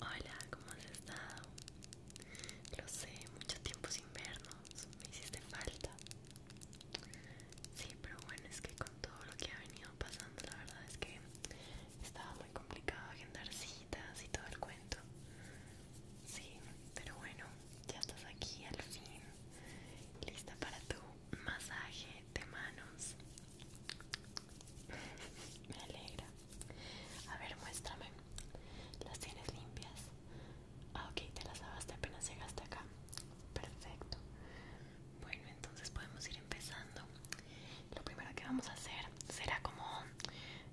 Hola, ¿cómo has estado? Lo sé, mucho tiempo sin vernos, me hiciste falta. Sí, pero bueno, es que con todo lo que ha venido pasando, la verdad es que estaba complicado agendar citas y todo el cuento. Sí, pero bueno, ya estás aquí al fin, lista para tu masaje de manos. Me alegra. A ver, muéstrame. ¿Las tienes limpias? Ah, ok, te las lavaste apenas llegaste acá. Perfecto. Bueno, entonces podemos ir empezando. Lo primero que vamos a hacer será como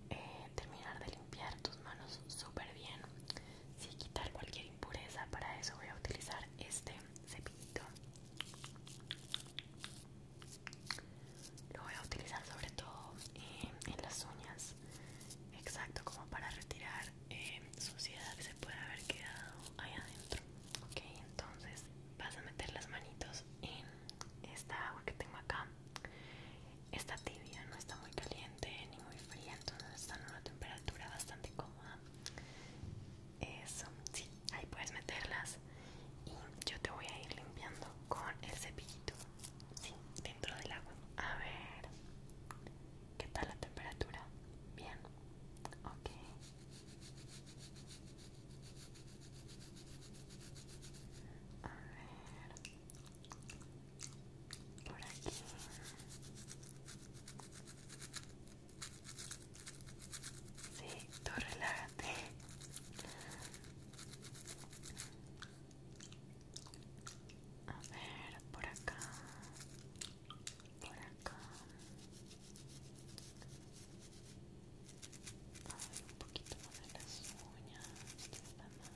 eh, terminar de limpiar tus manos súper bien. y quitar cualquier impureza, para eso voy a utilizar este cepillito. Lo voy a utilizar sobre todo eh, en las uñas, exacto, como para retirar eh, suciedad que se puede haber quedado ahí adentro. Ok, entonces vas a meter las manitos en esta agua que tengo acá esta tibia, no está muy caliente ni muy fría, entonces está en una temperatura bastante cómoda. Eso, sí, ahí puedes meterlas y yo te voy a ir limpiando con el cepillito, sí, dentro del agua. A ver, ¿qué tal la temperatura? Bien, ok. A ver por aquí sí, tú relájate a ver, por acá por acá un poquito más de las uñas, están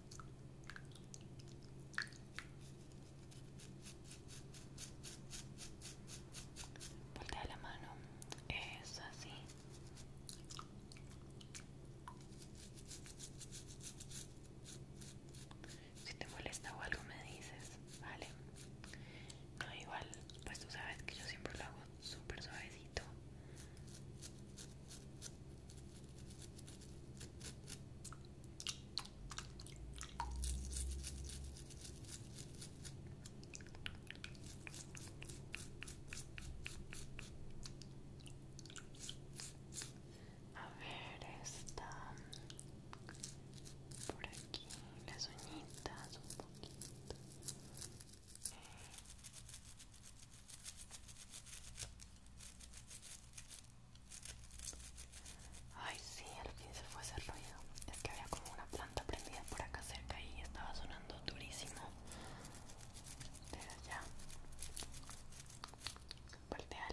Voltea la mano, es así. Si te molesta o algo me dices, vale. No, igual, pues tú sabes que yo siempre lo hago súper suavecito. A ver, está por aquí las uñitas un poquito. Ay, sí, al fin se fue ese ruido. Es que había como una planta prendida por acá cerca y estaba sonando durísimo. allá. Pero ya.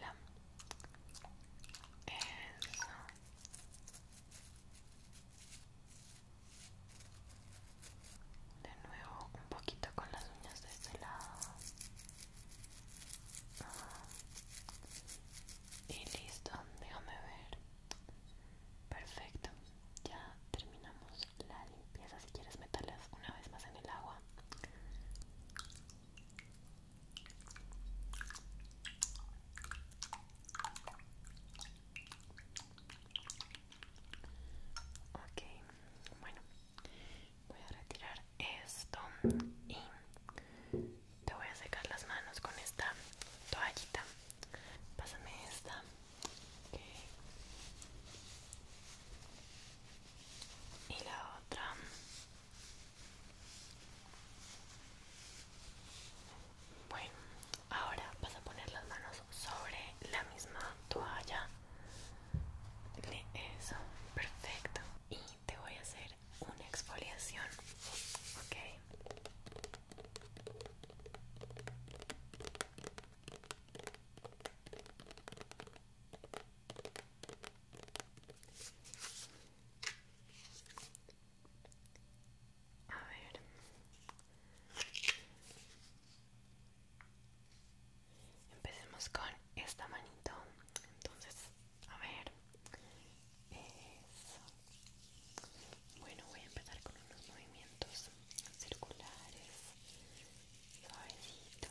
la. Eso. De nuevo, un poquito con las uñas de este lado. Y listo, déjame ver. Perfecto, ya terminamos la limpieza. Si quieres, meterlas una vez más en el agua. Ok, bueno, voy a retirar esto y te voy a secar las manos con esta toallita pásame esta y la otra bueno ahora vas a poner las manos sobre la misma toalla eso, perfecto. Y te voy a hacer una exfoliación, ¿ok? A ver. Empecemos con esta manito. Entonces, a ver. Eso. Bueno, voy a empezar con unos movimientos circulares. Suavecitos.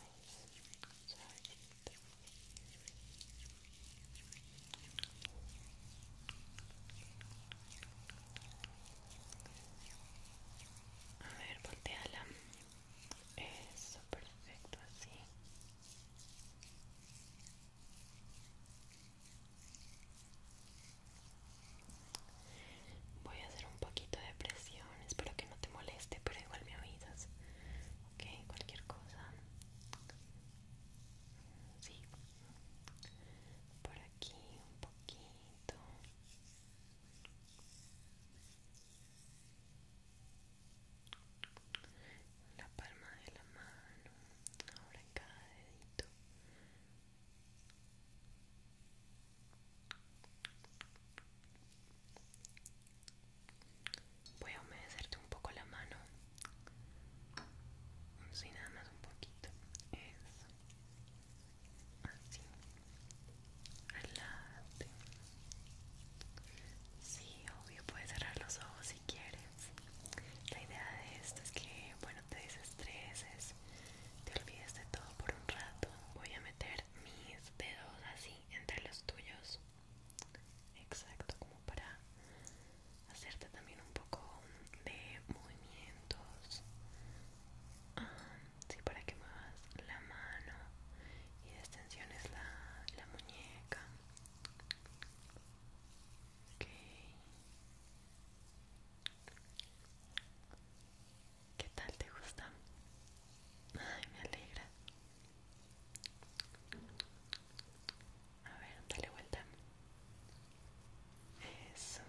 A ver, volteala. Eso, perfecto, así. Voy a hacer un poquito de presión, espero que no te moleste, pero igual me avisas. Ok, cualquier cosa. Sí. Por aquí un poquito la palma de la mano, ahora en cada dedito. Voy a humedecerte un poco la mano, Si nada más un poquito, eso, así. Sí, obvio, puedes cerrar los ojos si quieres. La idea de esto es que, bueno, te desestreses, te olvides de todo por un rato. Voy a meter mis dedos así entre los tuyos. Exacto, como para hacerte también un poco de movimientos. Ah, sí, para que muevas la mano y extensión la, la muñeca. ¿Qué tal te gusta? Ay, me alegra. A ver, dale vuelta. Eso.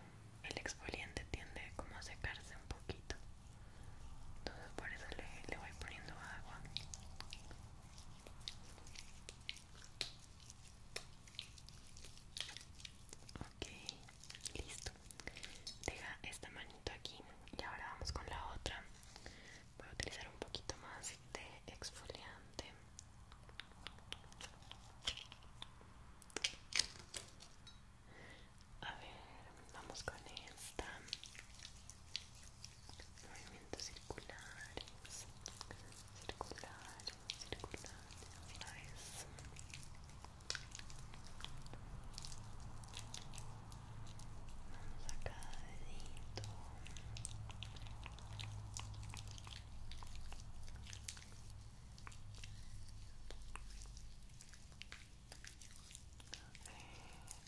El exfoliante tiende como a secarse un poquito entonces por eso le, voy poniendo agua ok listo deja esta manito aquí y ahora vamos con la otra voy a utilizar un poquito más de exfoliante a ver, vamos con esta. Movimientos circulares, circulares, circulares, vez. Vamos a cada dedito. A ver.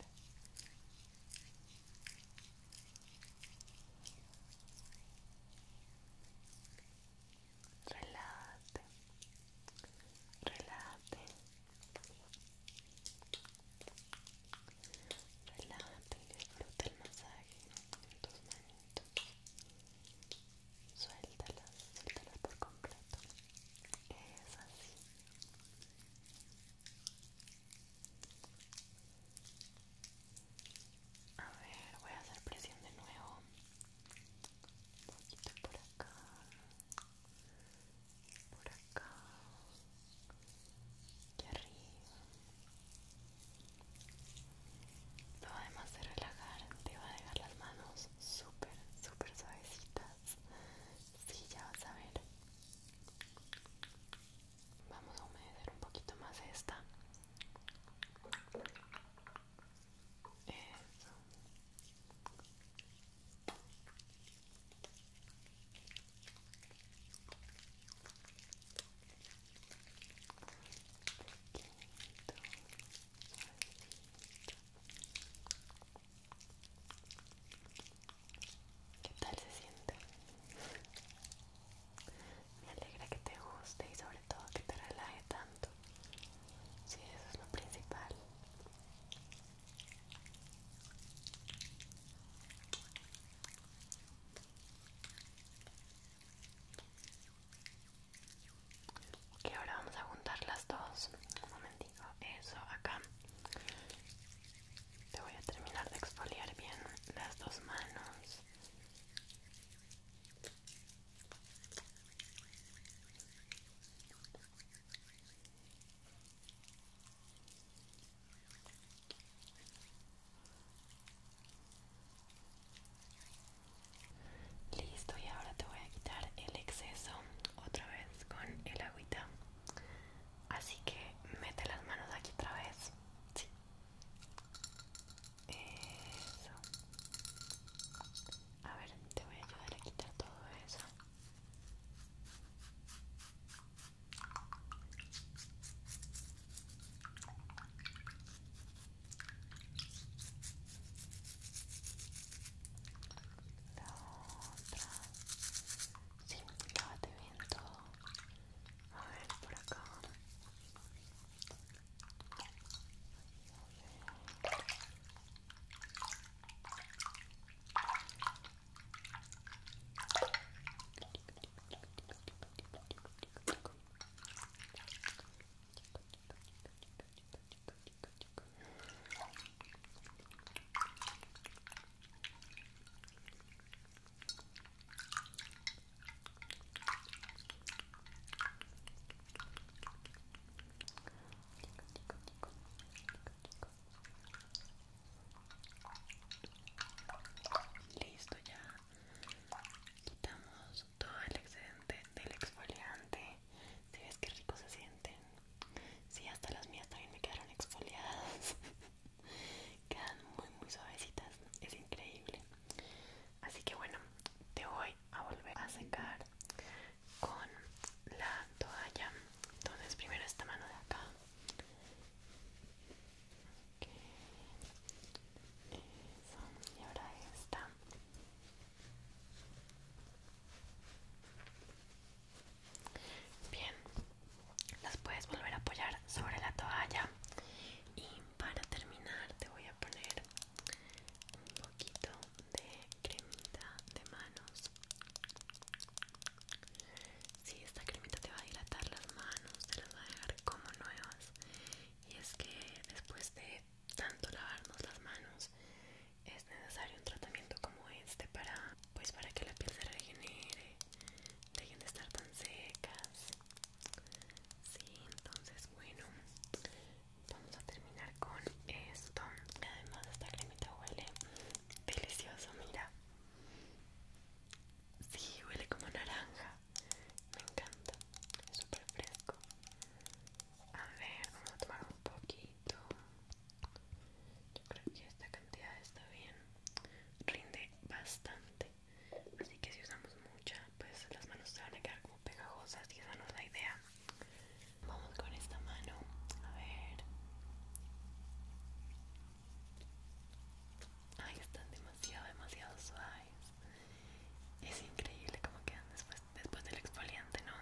Relate, relate, relate y disfruta el masaje en tus manitos. Suéltalas, suéltalas por completo. Es así. A ver, voy a hacer presión de nuevo. Un poquito por acá. Por acá. Y arriba. Todo además de relajar, te va a dejar las manos súper, súper suavecitas. Sí, ya vas a ver. Vamos a humedecer un poquito más esta. ¿Qué tal se siente? Me alegra que te guste y sobre todo que te relaje tanto. Sí, eso es lo principal. Ok, ahora vamos a juntar las dos. Un momentito eso acá te voy a terminar de exfoliar bien las dos manos Listo, y ahora te voy a quitar el exceso otra vez con el agüita Así que mete las manos aquí otra vez. Sí. Eso. A ver, te voy a ayudar a quitar todo eso. Sí, lávate bien todo. A ver, por acá. Listo, ya quitamos todo el excedente del exfoliante. Si ves que rico se siente. Sí, hasta las mías también me quedaron exfoliadas. Quedan muy, muy suavecitas. Es increíble. Así que bueno, te voy a volver a secar con la toalla. Entonces, primero esta mano de acá. Ok Eso. Y ahora esta. Bien, las puedes volver a apoyar sobre la toalla. Y para terminar, te voy a poner un poquito de cremita de manos. Sí, esta cremita te va a dilatar las manos, te las va a dejar como nuevas. Y es que después de tanto lavarnos las manos, es necesario un tratamiento como este para pues para que la piel se regenere dejen de estar tan secas sí entonces bueno vamos a terminar con esto además esta cremita huele delicioso mira sí huele como naranja me encanta es súper fresco a ver vamos a tomar un poquito yo creo que esta cantidad está bien, rinde bastante. Así que si usamos mucha, pues las manos se van a quedar como pegajosas y esa no es la idea. Vamos con esta mano, a ver. Ay, están demasiado, demasiado suaves. Es increíble cómo quedan después, después del exfoliante, ¿no?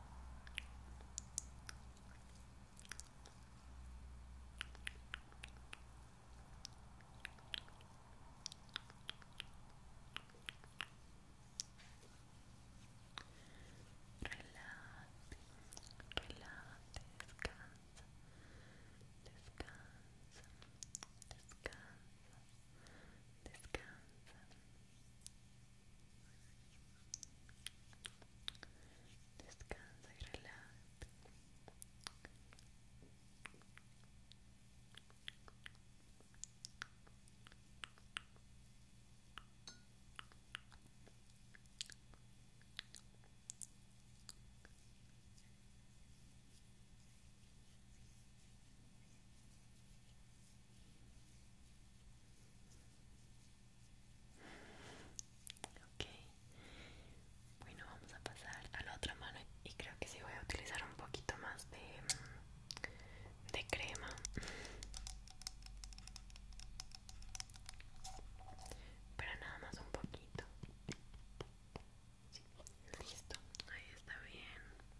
Relájate, descansa, descansa, descansa, descansa. Descansa y relájate. Ok, bueno, vamos a pasar a la otra mano y creo que sí voy a utilizar un poquito más de, mm, de crema. Pero nada más un poquito. listo, ahí está bien.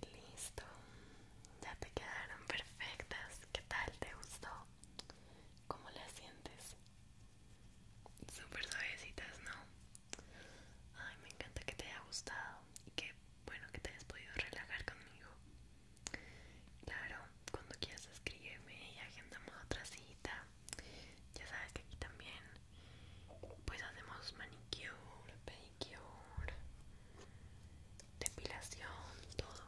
Y listo, ya te quedaron perfectas. ¿Qué tal? ¿Te gustó? ¿Cómo las sientes? Súper suavecitas, ¿no? Ay, me encanta que te haya gustado y que, bueno, que te hayas podido relajar conmigo. Claro, cuando quieras escríbeme y agendamos otra cita. Ya sabes que aquí también pues hacemos manicure, pedicure, depilación, todo.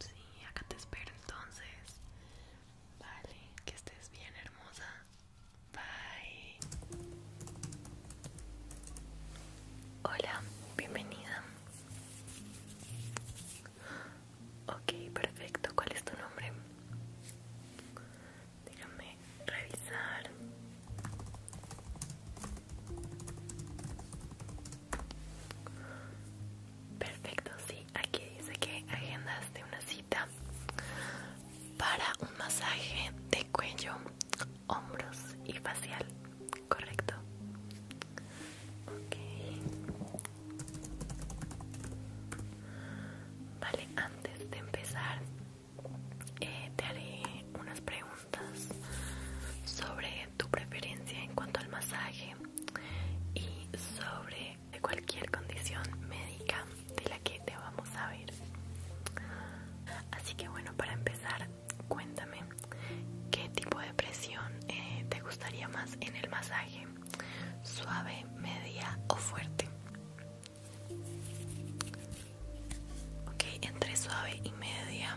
Sí, acá te espero entonces. Vale, que estés bien hermosa. Bye. Hola, bienvenida. Ok, perfecto. ¿Cuál es tu nombre? Déjame revisar. Perfecto, sí. Aquí dice que agendas de una cita para un masaje de cuello, hombros y facial correcto. Ok. Vale, antes de empezar, eh, te haré unas preguntas sobre tu preferencia en cuanto al masaje y sobre cualquier condición médica de la que te vamos a ver. Así que bueno, para empezar cuéntame qué tipo de presión eh, te gustaría más en el masaje, suave, media o fuerte. Ok, entre suave y media.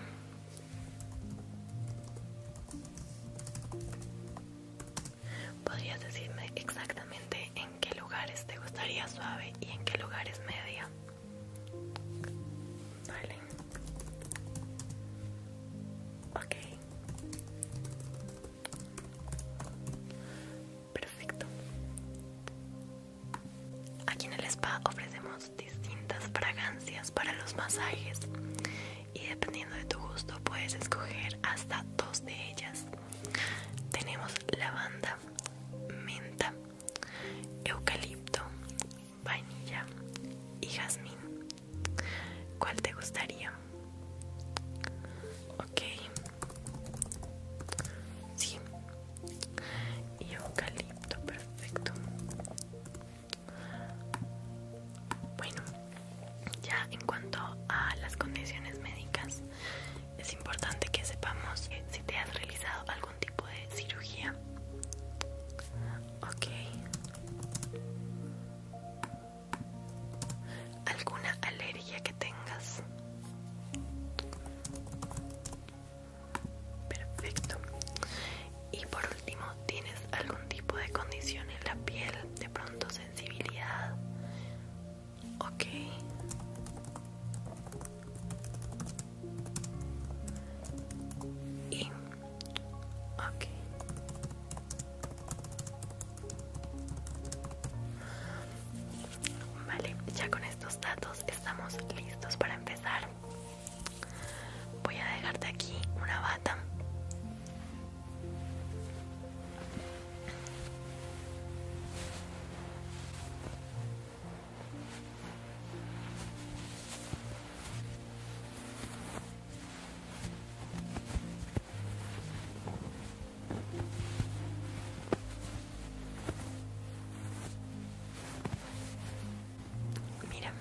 ¿Podrías decirme exactamente en qué lugares te gustaría suave y en qué lugares media? Vale. Ok. Perfecto. Aquí en el spa ofrecemos distintas fragancias para los masajes y dependiendo de tu gusto puedes escoger hasta dos de ellas. Tenemos lavanda, menta, eucalipto vainilla y jazmín. ¿Cuál te gustaría? Ok. Sí. Y eucalipto, perfecto. Bueno, ya en cuanto a las condiciones médicas, es importante que sepamos si te has realizado algo tipo de cirugía? Ok. ¿Alguna alergia que tengas? Perfecto. Y por último, ¿tienes algún tipo de condición en la piel? De pronto sensibilidad. Ok y ok vale ya con estos datos estamos listos para empezar voy a dejarte aquí una bata Mira.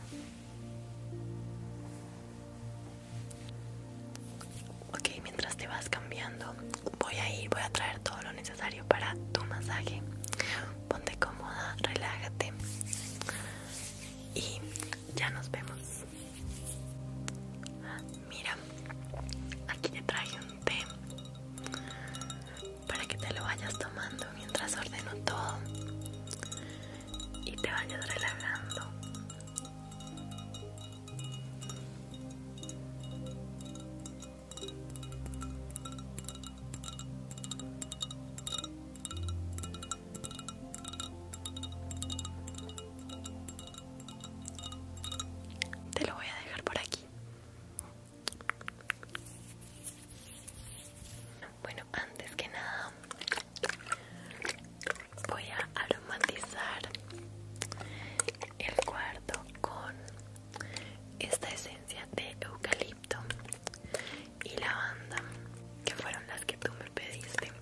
Ok, mientras te vas cambiando, voy a ir, voy a traer todo lo necesario para tu masaje. Ponte cómoda, relájate y ya nos vemos. Mira, aquí te traje un té para que te lo vayas tomando mientras ordeno todo y te vayas relajando. Te lo voy a dejar por aquí. Bueno, antes que nada voy a aromatizar el cuarto con esta esencia de eucalipto y la banda que fueron las que tú me pediste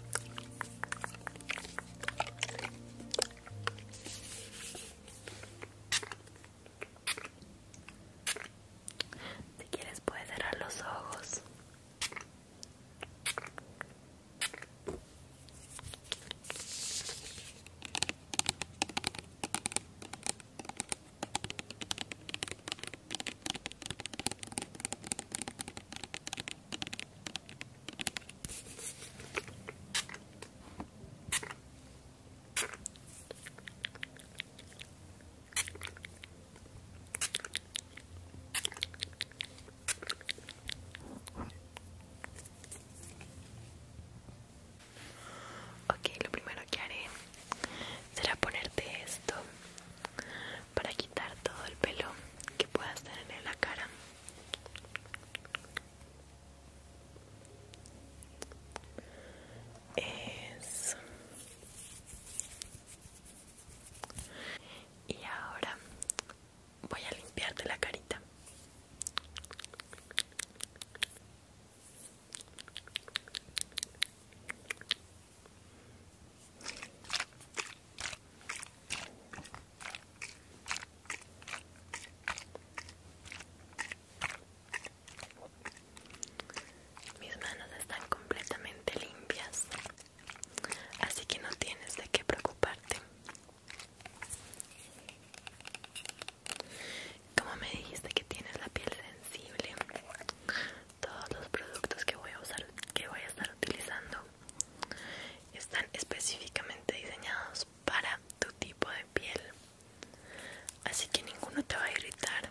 si quieres puedes cerrar los ojos Ok, lo primero que haré será ponerte esto para quitar todo el pelo que puedas tener en la cara y ahora voy a limpiarte la carita mis manos están completamente limpias, así que no tienes de qué preocuparte. Como me dijiste que tienes la piel sensible, todos los productos que voy a usar que voy a estar utilizando están específicamente diseñados para tu tipo de piel así que ninguno te va a irritar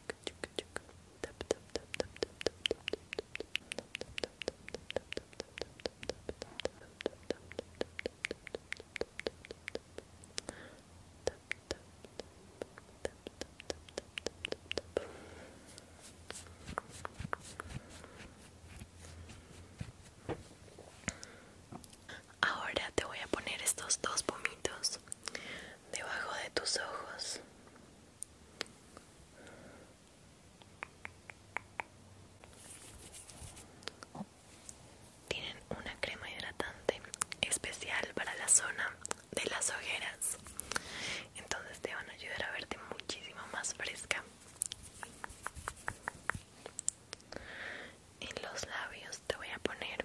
Ahora te voy a poner estos dos pomitos debajo de tus ojos. Tienen una crema hidratante especial para la zona de las ojeras. Entonces te van a ayudar a verte muchísimo más fresca. En los labios te voy a poner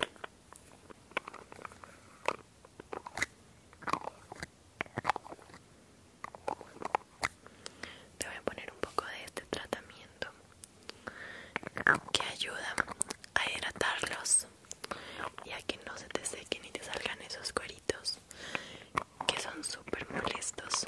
te voy a poner un poco de este tratamiento que ayuda a hidratarlos y a que no se te sequen y te salgan esos cueritos que son súper molestos.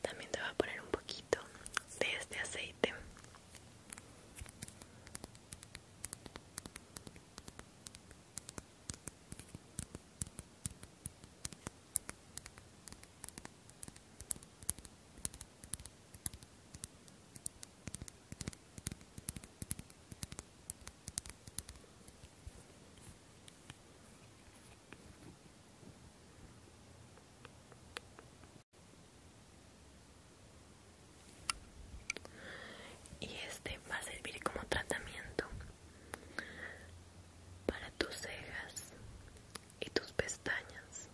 También te voy a poner un poquito de este aceite y este va a servir como tratamiento para tus cejas y tus pestañas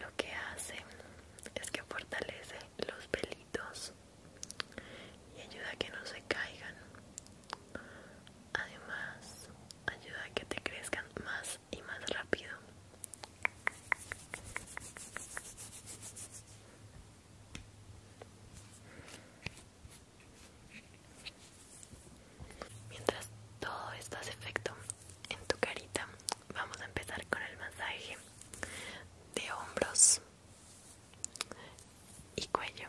lo que hace es que fortalece los pelitos y ayuda a que no se caigan Además, ayuda a que te crezcan más y más rápido. Mientras todo esto hace efecto en tu carita, vamos a empezar con el masaje de hombros y cuello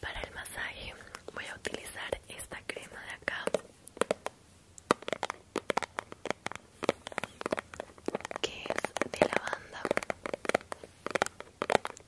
para el masaje voy a utilizar esta crema de acá que es de lavanda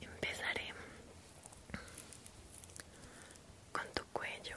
Empezaré con tu cuello.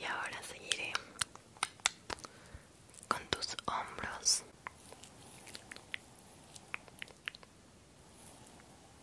Y ahora seguiré con tus hombros.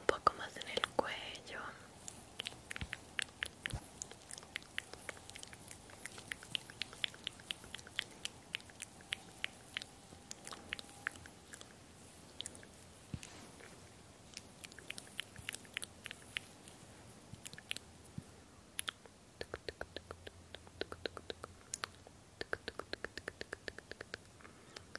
un poco más en el cuello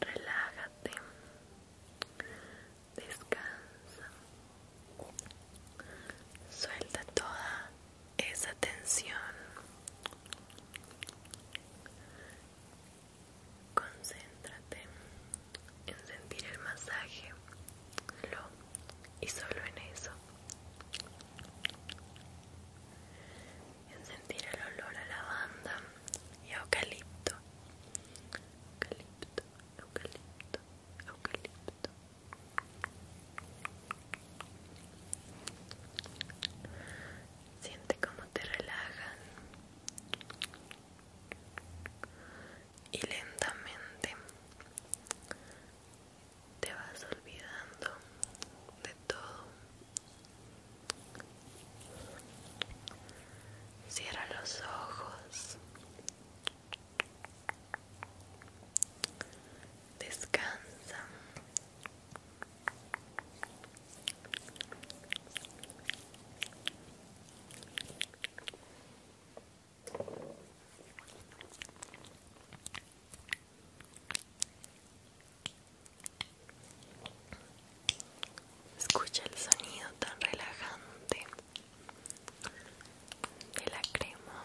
Relájate, descansa, suelta toda esa tensión en sentir el masaje, y solo en eso. En sentir el olor a lavanda y eucalipto. Eucalipto, eucalipto, eucalipto. Siente cómo te relajan y lentamente te vas olvidando de todo. Cierra los ojos. Descansa. Escucha el sonido tan relajante de la crema.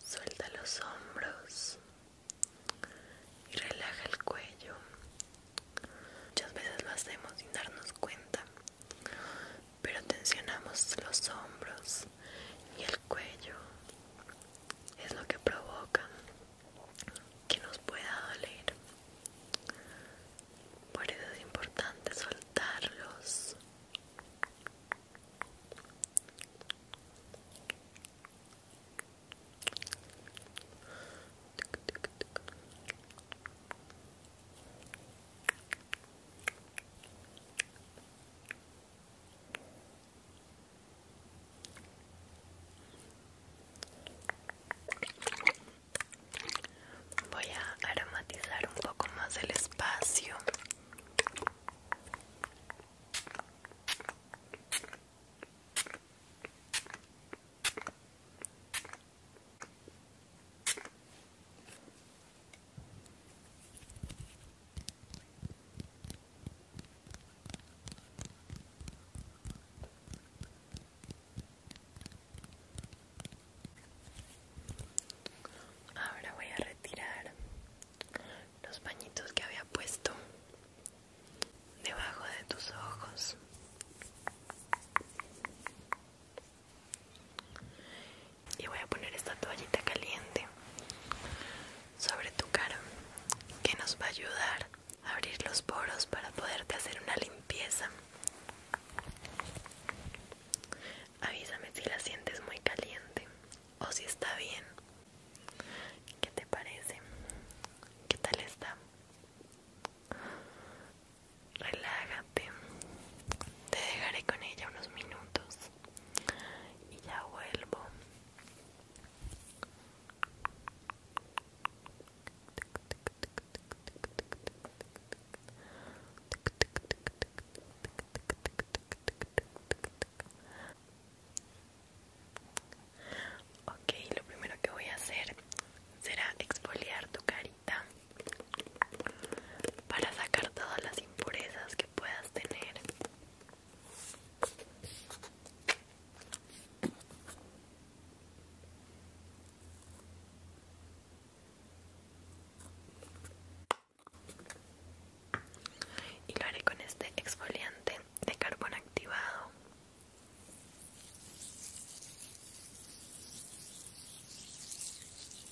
Suelta los hombros y relaja el cuello. Muchas veces lo hacemos sin darnos cuenta pero tensionamos los hombros y el cuello es lo que provoca que nos pueda doler por eso es importante soltarlos Voy a aromatizar un poco más el espacio. Ahora voy a retirar los pañitos que había puesto debajo de tus ojos y voy a poner esta toallita caliente sobre tu cara que nos va a ayudar a abrir los poros para poderte hacer una limpieza avísame si la sientes muy caliente o si está bien ¿Qué te parece? ¿Qué tal está? relájate te dejaré con ella unos minutos y ya vuelvo Ok, lo primero que voy a hacer será exfoliar tu carita para sacar todas las impurezas que puedas tener. Y lo haré con este exfoliante de carbón activado.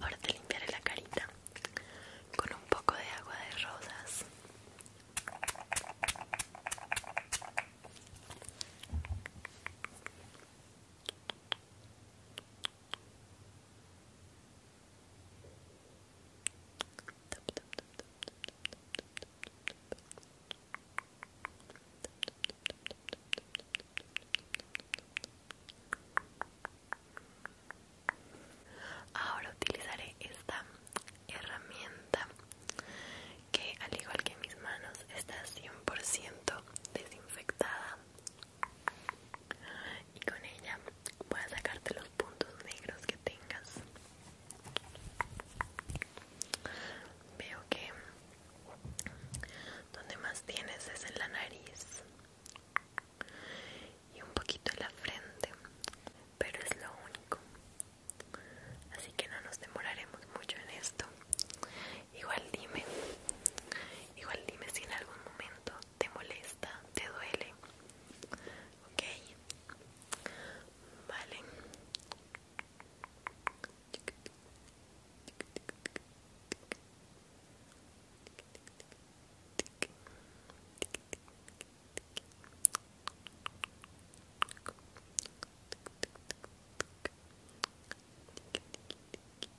Ahora te limpiaré la carita con un poco de agua de rosas. Ahora utilizaré esta herramienta que al igual que mis manos está 100% desinfectada y con ella voy a sacarte los puntos negros que tengas veo que donde más tienes es en la nariz y un poquito en la frente pero es lo único así que no nos demoraremos mucho en esto igual dime Igual dime si en algún momento te molesta, te duele. okay Vale.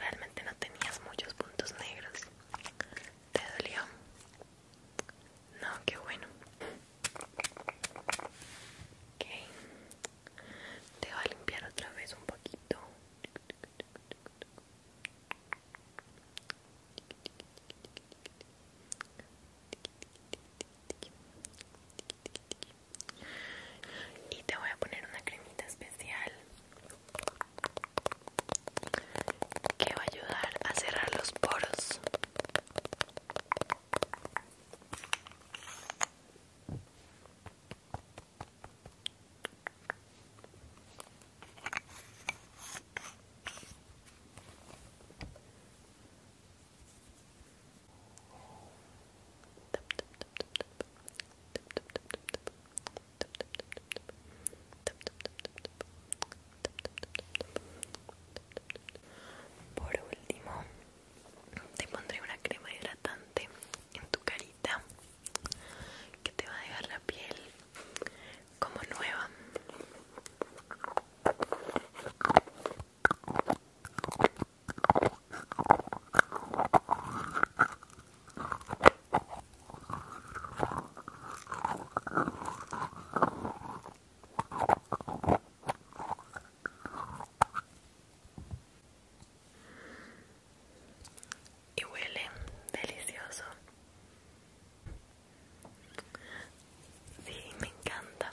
Realmente no tenías muchos puntos negros. ¿Te dolió? No, qué bueno te voy a limpiar otra vez un poquito. Y te voy a poner una cremita especial que va a ayudar a cerrar los poros. Por último, te pondré una crema hidratante en tu carita que te va a dejar la piel como nueva y huele delicioso sí me encanta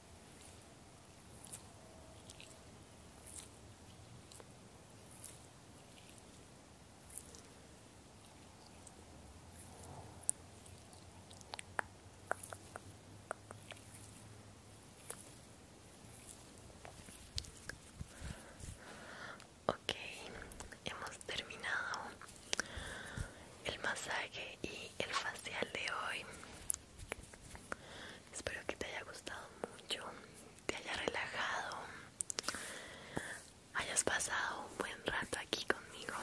Ok, hemos terminado el masaje y el facial de hoy. Espero que te haya gustado mucho, te haya relajado, hayas pasado un buen rato aquí conmigo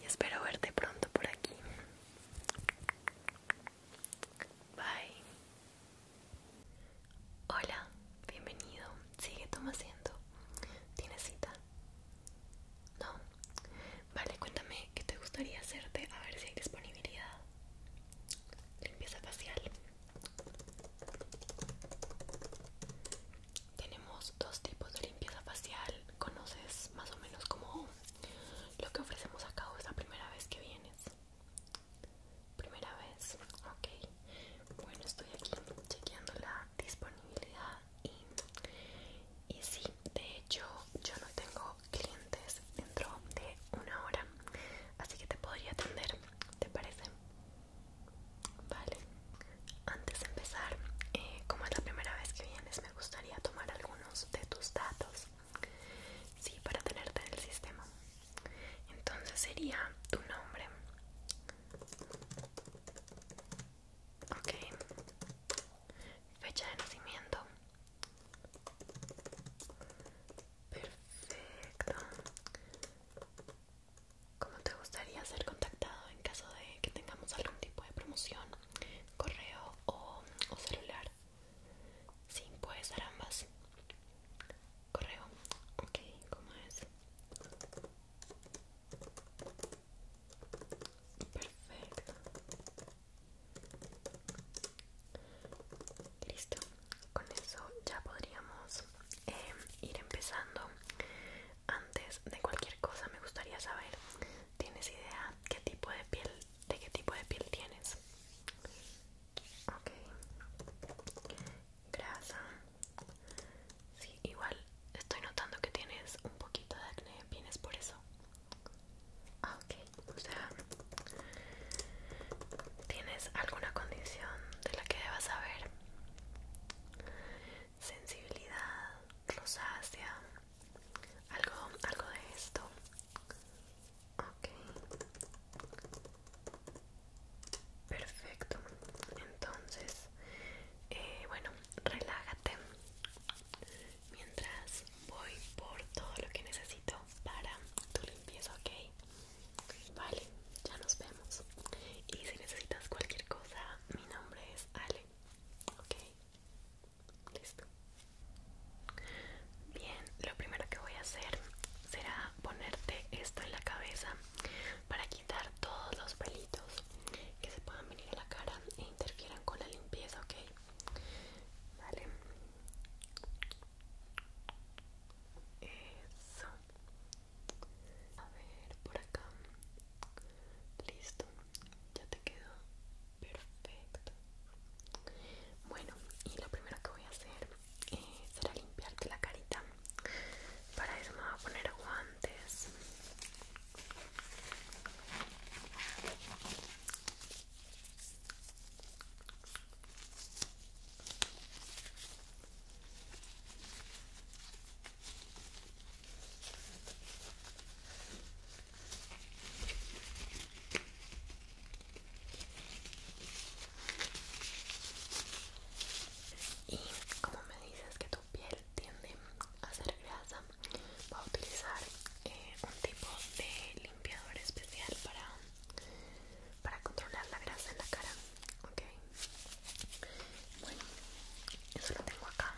y espero verte pronto por aquí. Bye. Hola, bienvenido. Sigue toma asiento. ¿Tienes cita? No. Vale, cuéntame que te gustaría hacerte, a ver si hay disponibilidad. Limpieza facial. Tenemos dos tipos de limpieza facial. ¿Conoces más o menos cómo lo que ofrecemos acá o es la primera vez que vienes? Primera vez, ok. Bueno, estoy aquí chequeando la disponibilidad y, sí, de hecho yo no tengo clientes dentro de una hora, así que te podría atender, ¿te parece? Vale, antes de empezar, eh, como es la primera vez que vienes, me gustaría tomar algunos de tus datos, sí, para tenerte en el sistema. Entonces sería tu nombre. Ok, fecha de nacimiento. Perfecto. ¿Cómo te gustaría ser contactado en caso de que tengamos algún tipo de promoción? ¿Correo o, celular? Sí, puedes ser ambas. Correo. Ok, ¿cómo es? Perfecto. Listo. Con eso ya podríamos em, ir empezando. Antes de cualquier cosa me gustaría saber, ¿tienes idea qué tipo de piel, de qué tipo de piel tienes? Ok. Grasa. Sí, igual estoy notando que tienes un poquito de acné, ¿vienes por eso? Ah, ok. O sea, ¿tienes alguna condición de la que debas saber? Sensibilidad, rosácea, algo, algo de esto. Ok. Perfecto. Entonces, eh, bueno, relájate mientras voy por todo lo que necesito para tu limpieza, ¿ok? Vale, ya nos vemos. Y si necesitas cualquier cosa, mi nombre es Ale, ¿ok? Listo. Bien, lo primero que voy a hacer será ponerte esto en la cabeza para quitar todos los pelitos que se puedan venir a la cara e interfieran con la limpieza, ¿ok? Vale. Eso. A ver, por acá. Listo. Ya te quedó perfecto. Bueno, y lo primero que voy a hacer es eh, será limpiarte la carita. Para eso me voy a poner guantes. Y como me dices que tu piel tiende a ser grasa, voy a utilizar eh, un tipo de limpiador especial para, para controlar la grasa en la cara. Ok, bueno, eso lo tengo acá.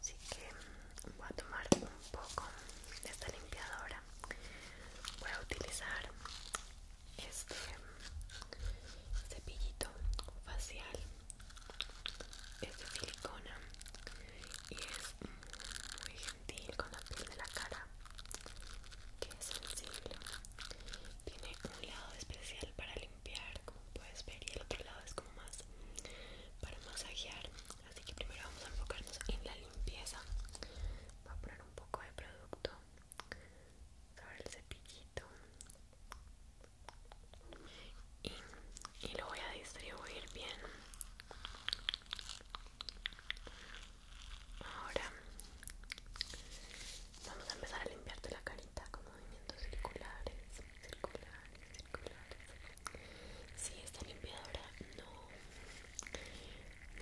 Así que voy a tomar un poco de esta limpiadora voy a utilizar este cepillito facial es de silicona y es muy gentil con la piel de la cara que es sensible tiene un lado especial para limpiar como puedes ver y el otro lado es como más para masajear así que primero vamos a enfocarnos en la limpieza voy a poner un poco de producto sobre el cepillito y, y lo voy a distribuir bien ahora vamos a empezar a limpiarte la carita con movimientos circulares circulares si sí, esta limpiadora no,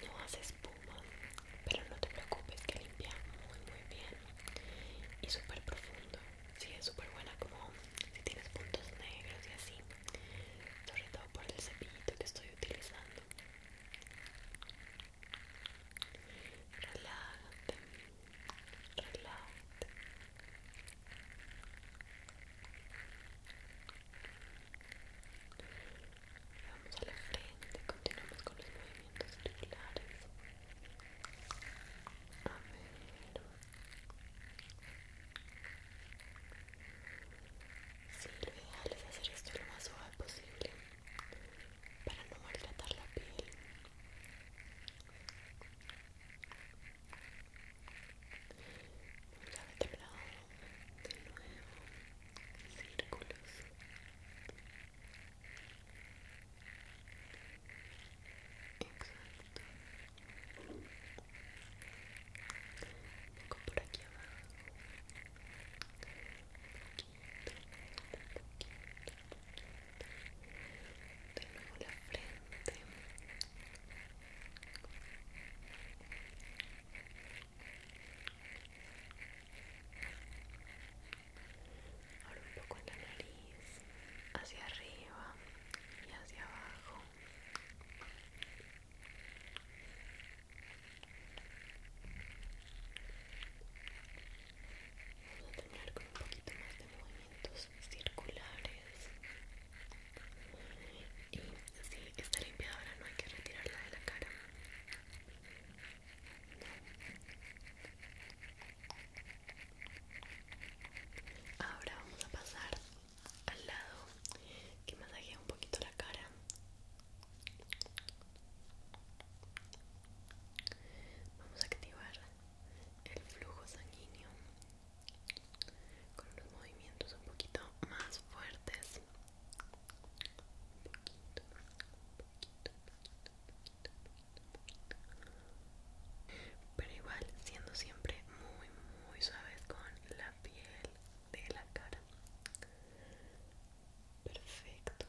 no hace espuma pero no te preocupes que limpia muy muy bien y súper profundo si sí, es súper buena como si tienes puntos negros y así sobre todo por el cepillito que estoy utilizando relájate relájate Vamos a la frente, continuamos con los movimientos circulares. A ver. Sí, lo ideal es hacer esto lo más suave posible para no maltratar la piel mira de lado de nuevo círculos exacto Vengo por aquí abajo un poquito, un poquito, un poquito de nuevo la frente Ahora un poco en la nariz, hacia arriba y hacia abajo. Vamos a tener con un poquito más de movimientos circulares si está ahora no hay que retirarla de la cara. Ahora vamos a pasar al lado que masajea un poquito la cara. Vamos a activar el flujo sanguíneo con los movimientos un poquito más fuertes un poquito, pero igual siendo siempre muy muy suaves con la piel de la cara perfecto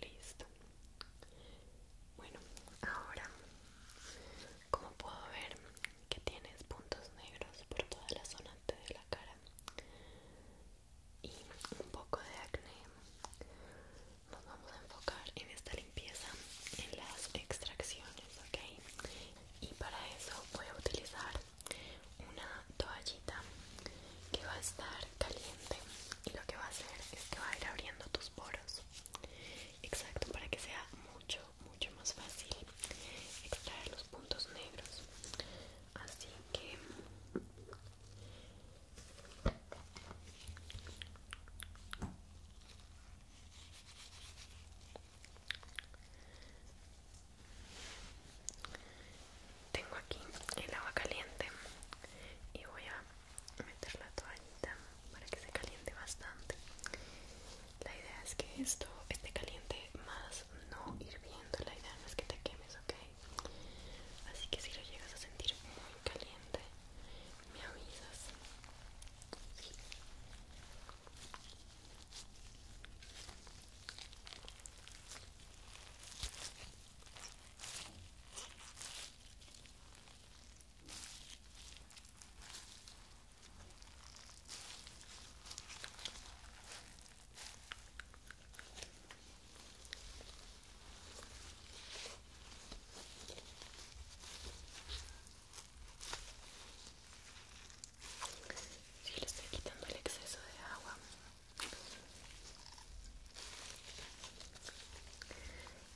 Listo. Bueno, ahora, como puedo ver que tienes puntos negros por toda la zona de la cara y un poco de acné, nos vamos a enfocar en esta limpieza, en las extracciones, ¿ok? Y para eso voy a utilizar una toallita que va a estar caliente y lo que va a hacer es que va a ir abriendo tus poros exacto para que sea mucho mucho más fácil extraer los puntos negros así que tengo aquí el agua caliente y voy a meter la toallita para que se caliente bastante la idea es que esto esté caliente más no hirviendo la idea no es que te quemes ok así que si lo llegas a sentir muy caliente me avisas si sí, le estoy quitando el exceso de agua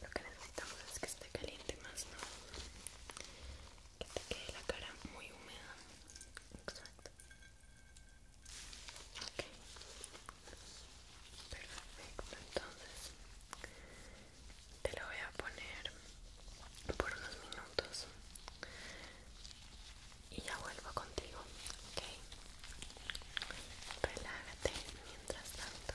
lo que necesitamos es que esté caliente más no que te quede la cara muy húmeda exacto ok perfecto entonces te lo voy a poner por unos minutos y ya vuelvo contigo ok relájate mientras tanto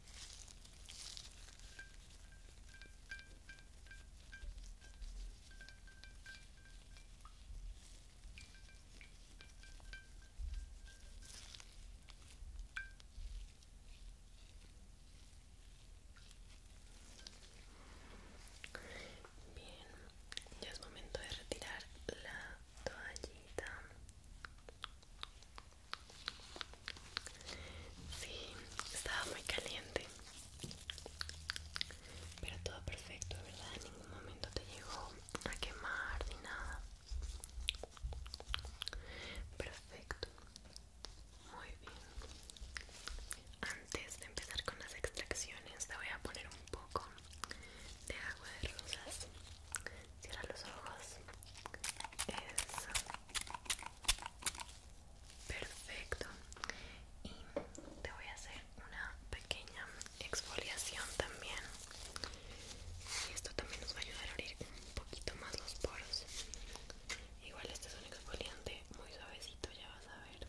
Bien, ya es momento de retirar la toallita. Sí, estaba muy caliente. Pero todo perfecto, ¿verdad? En ningún momento te llegó a quemar ni nada. Perfecto. Muy bien. Antes de empezar con las extracciones, te voy a poner un poco de agua de rosas. Cierra los ojos. Eso. Perfecto. Y te voy a hacer una pequeña exfoliación también. Y esto también nos va a ayudar a abrir un poquito más los poros. Igual este es un exfoliante muy suavecito, ya vas a ver.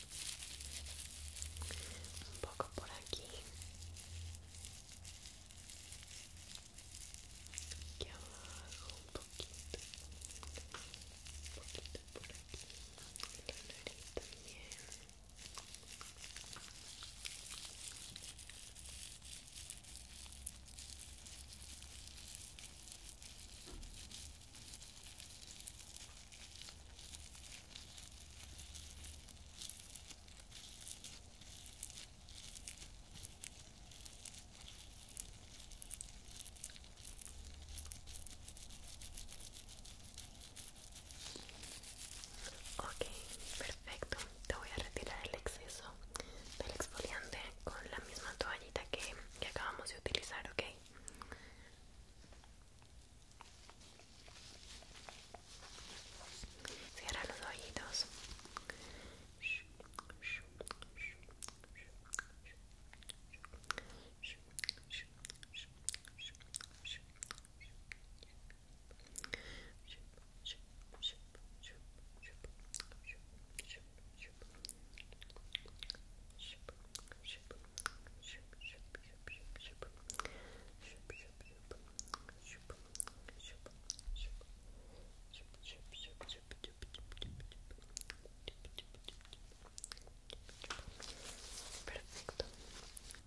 un poco por aquí aquí abajo un poquito un poquito por aquí la nariz también Ok, perfecto. Te voy a retirar el exceso del exfoliante con la misma toallita que, que acabamos de utilizar, ok. Cierra los oídos Perfecto.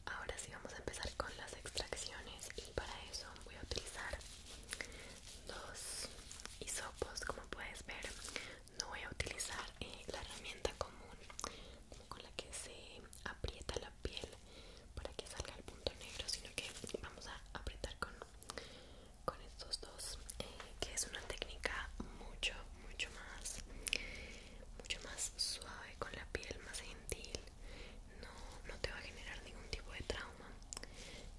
Ahora sí vamos a empezar con las extracciones y para eso voy a utilizar dos hisopos, como puedes ver. No voy a utilizar eh, la herramienta común, con la que se aprieta la piel para que salga el punto negro sino que vamos a apretar con, con estos dos eh, que es una técnica mucho mucho más mucho más suave con la piel más gentil no, te va a generar ningún tipo de trauma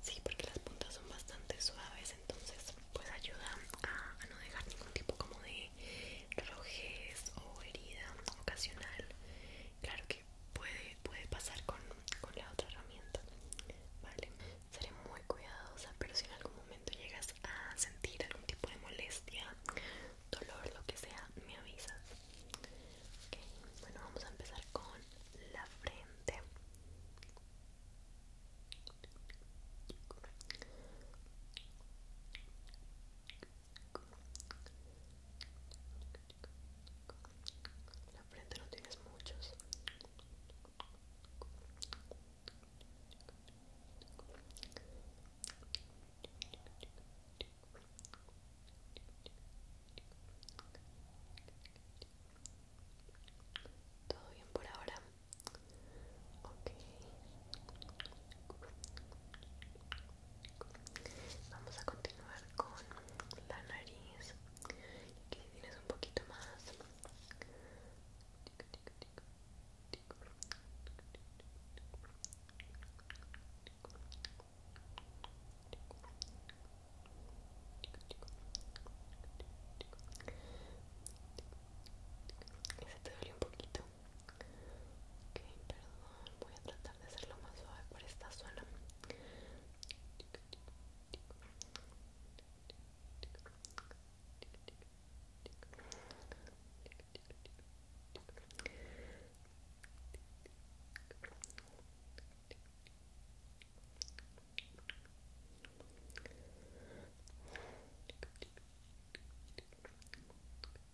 sí porque las puntas son bastante suaves entonces pues ayuda a, a no dejar ningún tipo como de rojez o herida ocasional claro que puede, puede pasar con, la otra herramienta vale seré muy cuidadosa pero si en algún momento llegas a sentir algún tipo de molestia dolor lo que sea me avisas ok, bueno vamos a empezar con la frente la frente no tienes muchos. Todo bien por ahora. Ok. Vamos a continuar con la nariz. que tienes un poquito más. Se te un poquito. Ok, perdón, voy a tratar de hacerlo más suave por esta zona.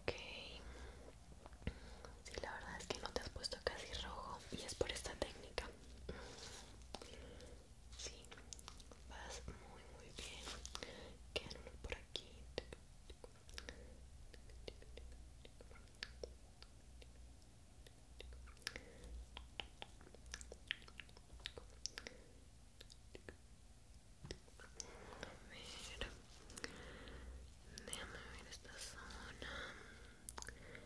Ok. Sí, la verdad es que no te has puesto casi rojo y es por esta técnica. Sí, vas muy muy bien. Quedan por aquí. A ver déjame ver esta zona a ver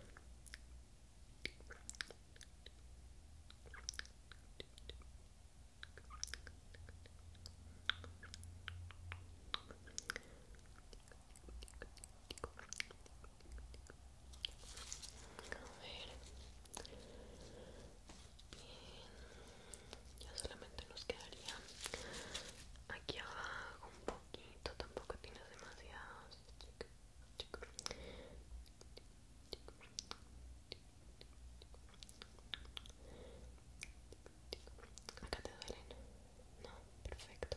Bien, ya solamente nos quedaría aquí abajo un poquito, tampoco tienes demasiados. Acá te No, perfecto.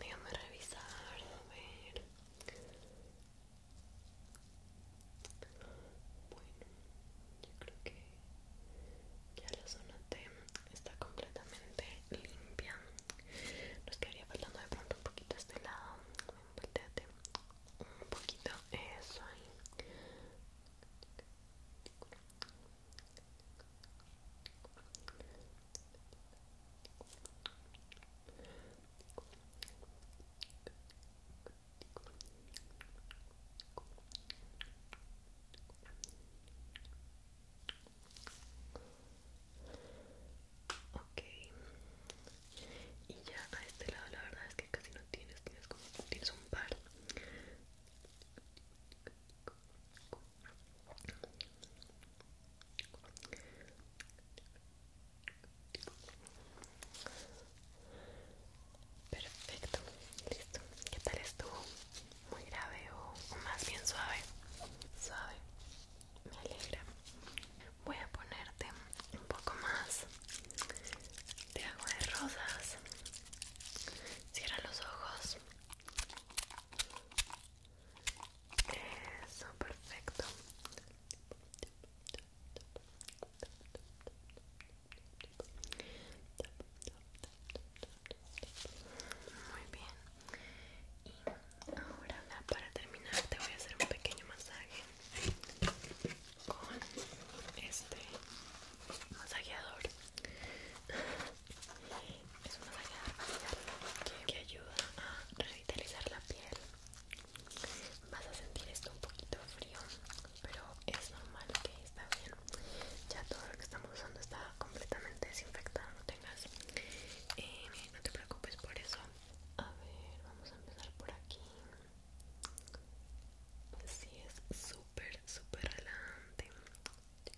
Déjame revisar, a ver. Bueno, yo creo que ya la zona T está completamente limpia. Nos quedaría faltando de pronto un poquito este lado. un poquito. Eso ahí. Ok, y ya a este lado la verdad es que casi no tienes, tienes como tienes un par. Perfecto, listo. ¿Qué tal estuvo? Muy grave o, más bien suave. Suave. Me alegra. Voy a ponerte un poco más de agua de rosas. Cierra los ojos eso, perfecto. Muy bien. Y ahora para terminar te voy a hacer un pequeño masaje con este masajeador es un masajeador que, ayuda a revitalizar la piel vas a sentir esto un poquito frío pero es normal que está bien ya todo lo que estamos usando está completamente desinfectado no tengas eh, no te preocupes por eso a ver vamos a empezar por aquí si sí, es súper súper adelante.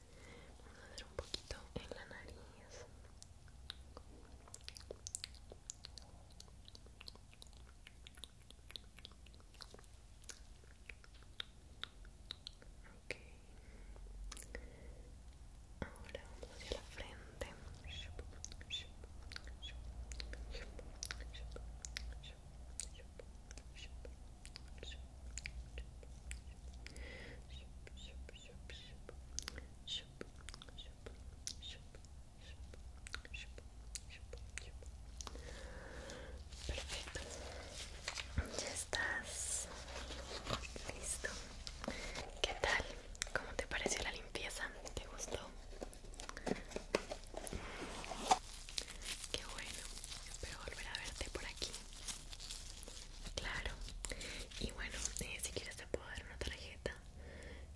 Vamos a hacer un poquito en la nariz. Ok. Ahora vamos hacia la frente. Perfecto, ya estás listo. ¿Qué tal? ¿Cómo te pareció la limpieza? ¿Te gustó? Qué bueno, espero volver a verte por aquí. Claro. Y bueno, eh, si quieres te puedo dar una tarjeta.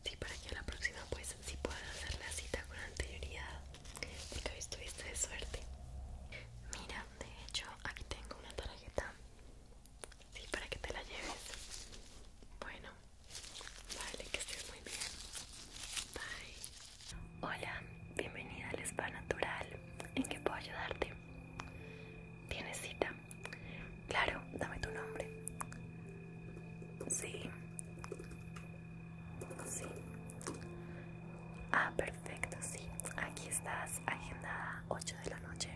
Sí, para que a la próxima pues sí puedas hacer la cita con anterioridad. que hoy estuviste de suerte. Mira, de hecho aquí tengo una tarjeta. Sí, para que te la lleves. Bueno, vale, que estés muy bien. Bye. Hola, bienvenida al Spa Natural. ¿En qué puedo ayudarte? ¿Tienes cita? Claro, dame tu nombre. Sí. Sí. Ah, perfecto, sí. Aquí estás, agendada 8 de la noche.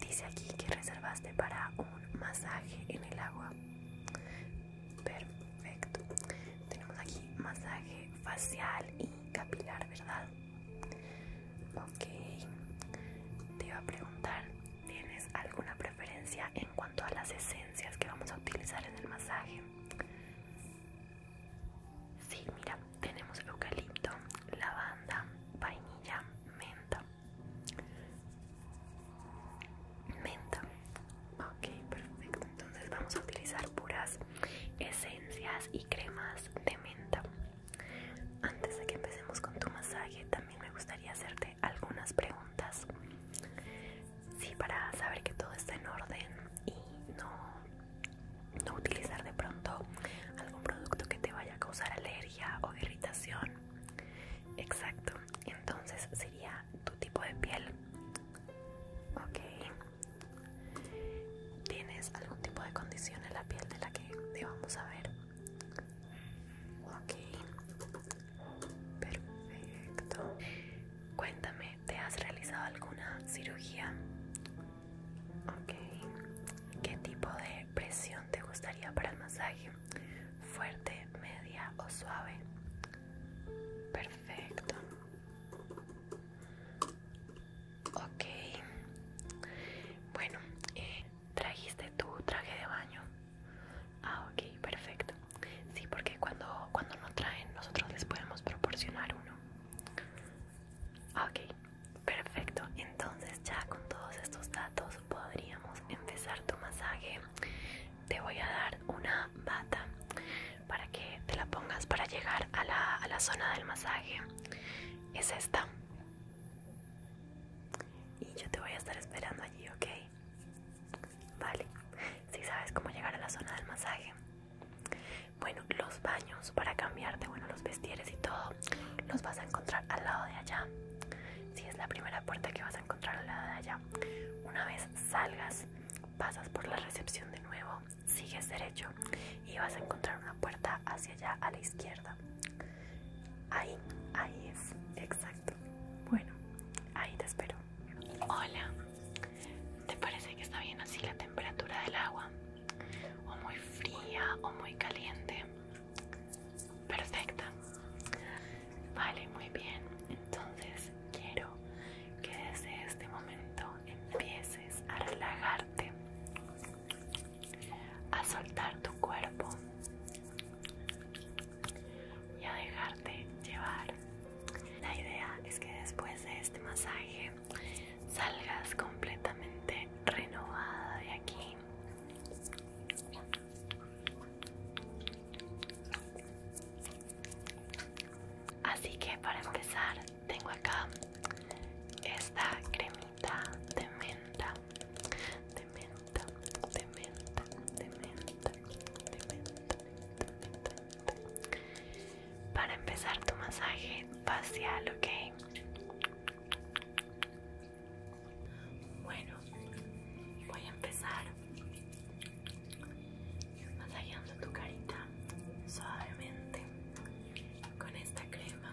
Dice aquí que reservaste para un masaje en el agua. Perfecto. Tenemos aquí masaje facial y capilar, ¿verdad? Ok, te iba a preguntar, ¿tienes alguna preferencia en cuanto a las esencias que vamos a utilizar en el masaje? Sí, mira, tenemos eucalipto, lavanda, vainilla, menta. Menta. Ok, perfecto. Entonces vamos a utilizar puras esencias y cremas de menta. Antes de que empecemos con tu masaje, también me gustaría hacerte algunas preguntas. Sí, para saber que todo está en orden y no, no utilizar de pronto algún producto que te vaya a causar alergia o irritación. Exacto, entonces sería tu tipo de piel. ¿Tienes algún tipo de condición en la piel de la que te vamos a ver. Ok, perfecto. Cuéntame, ¿te has realizado alguna cirugía? Ok, ¿qué tipo de presión te gustaría para el masaje? ¿Fuerte, media o suave? Perfecto. Ok. Bueno, eh, ¿trajiste tu traje de baño? Ah, ok, perfecto. Sí, porque cuando, cuando no traen, nosotros les podemos proporcionar uno. Ah, ok, perfecto. Entonces ya con todos estos datos podríamos empezar tu masaje. Te voy a dar una bata para que te la pongas para llegar a la, a la zona del masaje. Es esta. Y yo te voy a estar esperando allí, ¿ok? Vale, si sabes cómo llegar a la zona del masaje. Bueno, los baños para cambiarte, bueno, los vestieres y todo, los vas a encontrar al lado de allá. Si es la primera puerta que vas a encontrar al lado de allá. Una vez salgas, pasas por la recepción de nuevo, sigues derecho y vas a encontrar una puerta hacia allá a la izquierda. Ahí, ahí es, exacto. Bueno, ahí te espero. Hola, ¿te parece que está bien así la temperatura del agua? O muy fría o muy caliente. Perfecta. Vale, muy bien. Entonces quiero que desde este momento empieces a relajarte a soltar tu cuerpo y a dejarte llevar. La idea es que después de este masaje salgas completamente renovada de aquí. Así que para empezar tengo acá esta crema menta, de menta, de menta, de menta, de menta, de menta, para empezar tu masaje facial, ¿ok? Bueno, voy a empezar masajeando tu carita suavemente con esta crema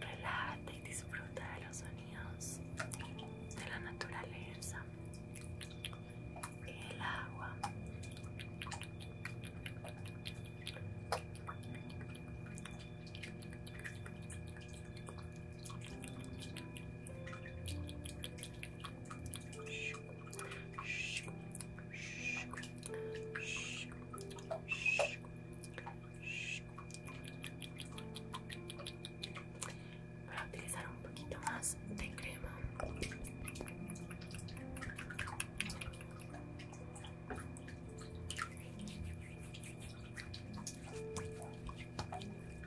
Relájate y disfruta de los sonidos de la naturaleza, el agua. Voy a utilizar un poquito más de crema.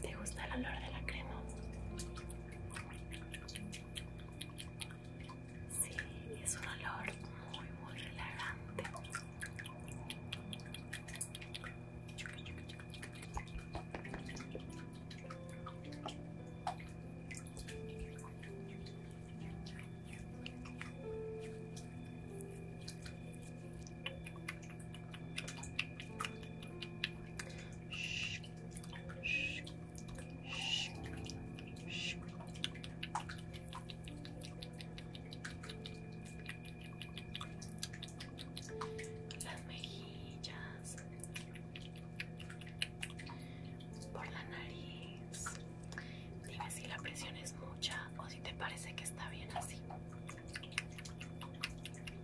¿Te gusta el olor de la crema? Sí, es un olor muy, muy relajante las mejillas por la nariz dime si la presión es mucha o si te parece que está bien así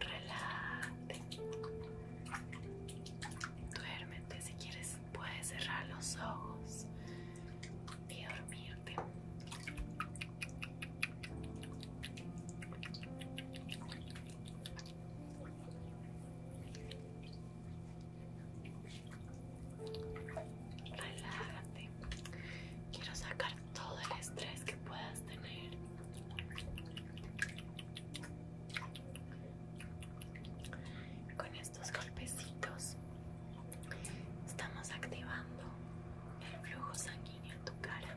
relájate duérmete si quieres puedes cerrar los ojos y dormirte relájate Quiero sacar todo el estrés que puedas tener. Con estos golpecitos estamos activando el flujo sanguíneo en tu cara.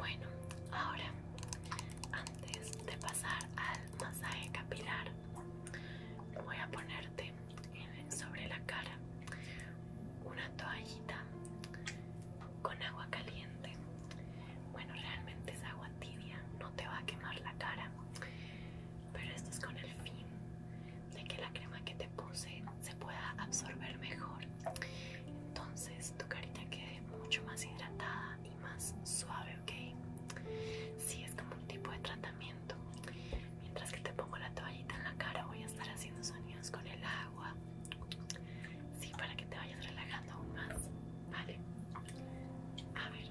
Bueno, ahora antes de pasar al masaje capilar, voy a ponerte sobre la cara una toallita con agua caliente. Bueno, realmente es agua tibia, no te va a quemar la cara, pero esto es con el fin de que la crema que te puse se pueda absorber mejor entonces tu carita quede mucho más hidratada y más suave ok sí, es como un tipo de tratamiento mientras que te pongo la toallita en la cara voy a estar haciendo sonidos con el agua sí para que te vayas relajando aún más vale a ver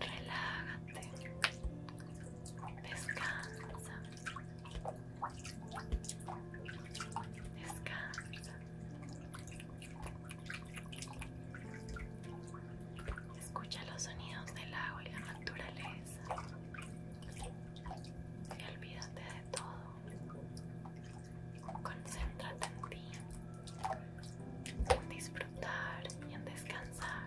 relájate, descansa, descansa. Escucha los sonidos del agua y la naturaleza y olvídate de todo. Concéntrate en ti, en disfrutar y en descansar.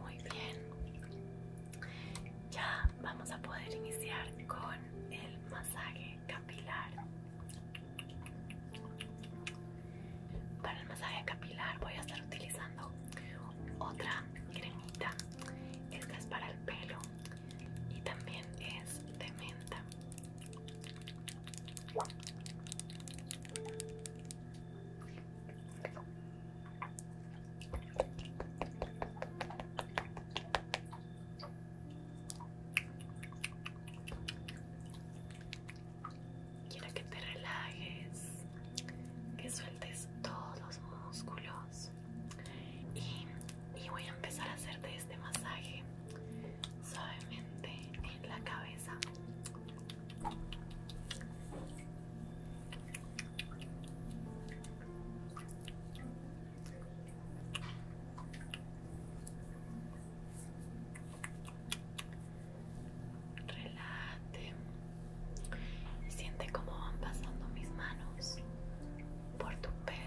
Muy bien, ya vamos a poder iniciar con el masaje capilar. Para el masaje capilar voy a estar utilizando otra cremita. Esta es para el pelo y también es de menta. Quiero que te relajes, que sueltes todos los músculos y, voy a empezar a hacerte este masaje suavemente en la cabeza. Relate. Siente como van pasando mis manos por tu pelo.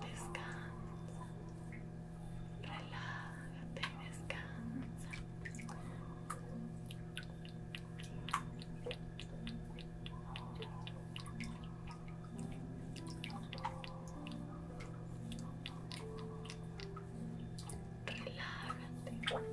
descansa, relájate, descansa. Relájate.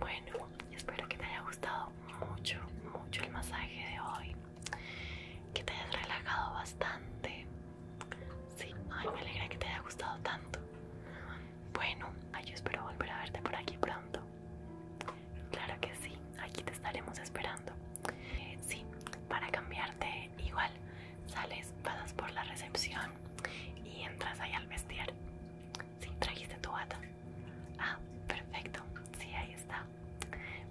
Bueno, espero que te haya gustado mucho, mucho el masaje de hoy. Que te hayas relajado bastante. Sí, ay, me alegra que te haya gustado tanto. Bueno, ay, yo espero volver a verte por aquí pronto. Claro que sí, aquí te estaremos esperando. Eh, sí, para cambiarte igual, sales, pasas por la recepción y entras ahí al bestiar. Sí, trajiste tu bata. Ah, perfecto. Sí, ahí está.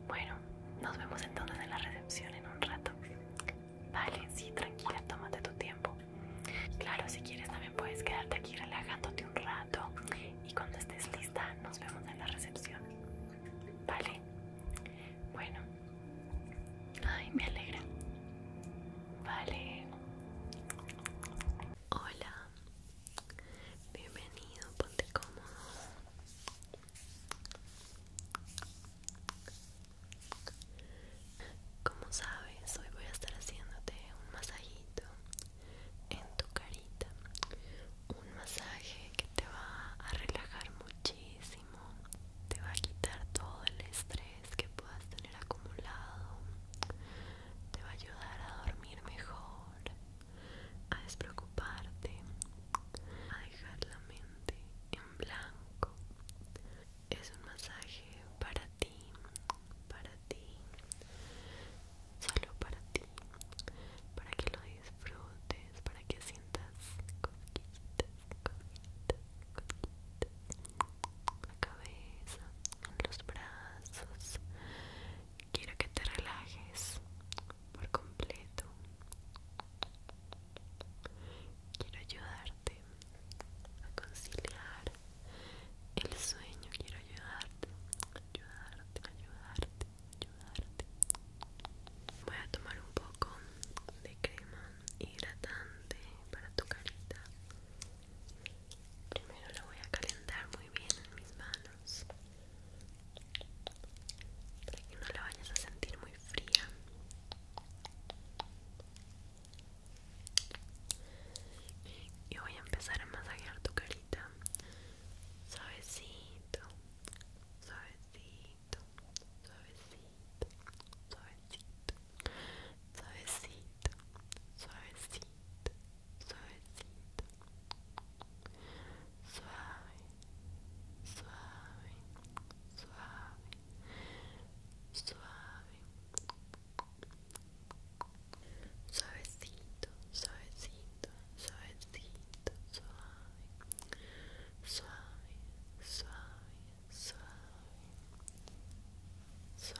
Bueno, nos vemos entonces en la recepción en un rato. Vale, sí, tranquila, tómate tu tiempo. Claro, si quieres también puedes quedarte aquí relajándote un rato y cuando estés lista nos vemos en la recepción. Vale. Bueno. Ay, me alegra. Vale. Hola, bienvenido, ponte cómodo. Como sabes, hoy voy a estar haciéndote un masajito en tu carita. Un masaje que te va a relajar muchísimo, te va a quitar todo el estrés que puedas tener acumulado te va a ayudar a dormir mejor a despreocuparte a dejar la mente en blanco es un masaje para ti para ti solo para ti para que lo disfrutes para que sientas cosquillitas cosquillitas la cabeza, en los brazos. Quiero que te relajes por completo. Quiero ayudarte a conciliar el sueño. Quiero ayudarte, ayudarte, ayudarte, ayudarte. Voy a tomar un poco de crema hidratante para tu carita. Primero lo voy a calentar muy bien en mis manos para que no la vayas a sentir muy fría. Y voy a empezar a masajear tu carita suavecito, suavecito, suavecito, suavecito. suavecito, suavecito, suavecito, suave, suave, suave, suave, suavecito, suavecito, suavecito, suave, suave, suave, suave. Suave,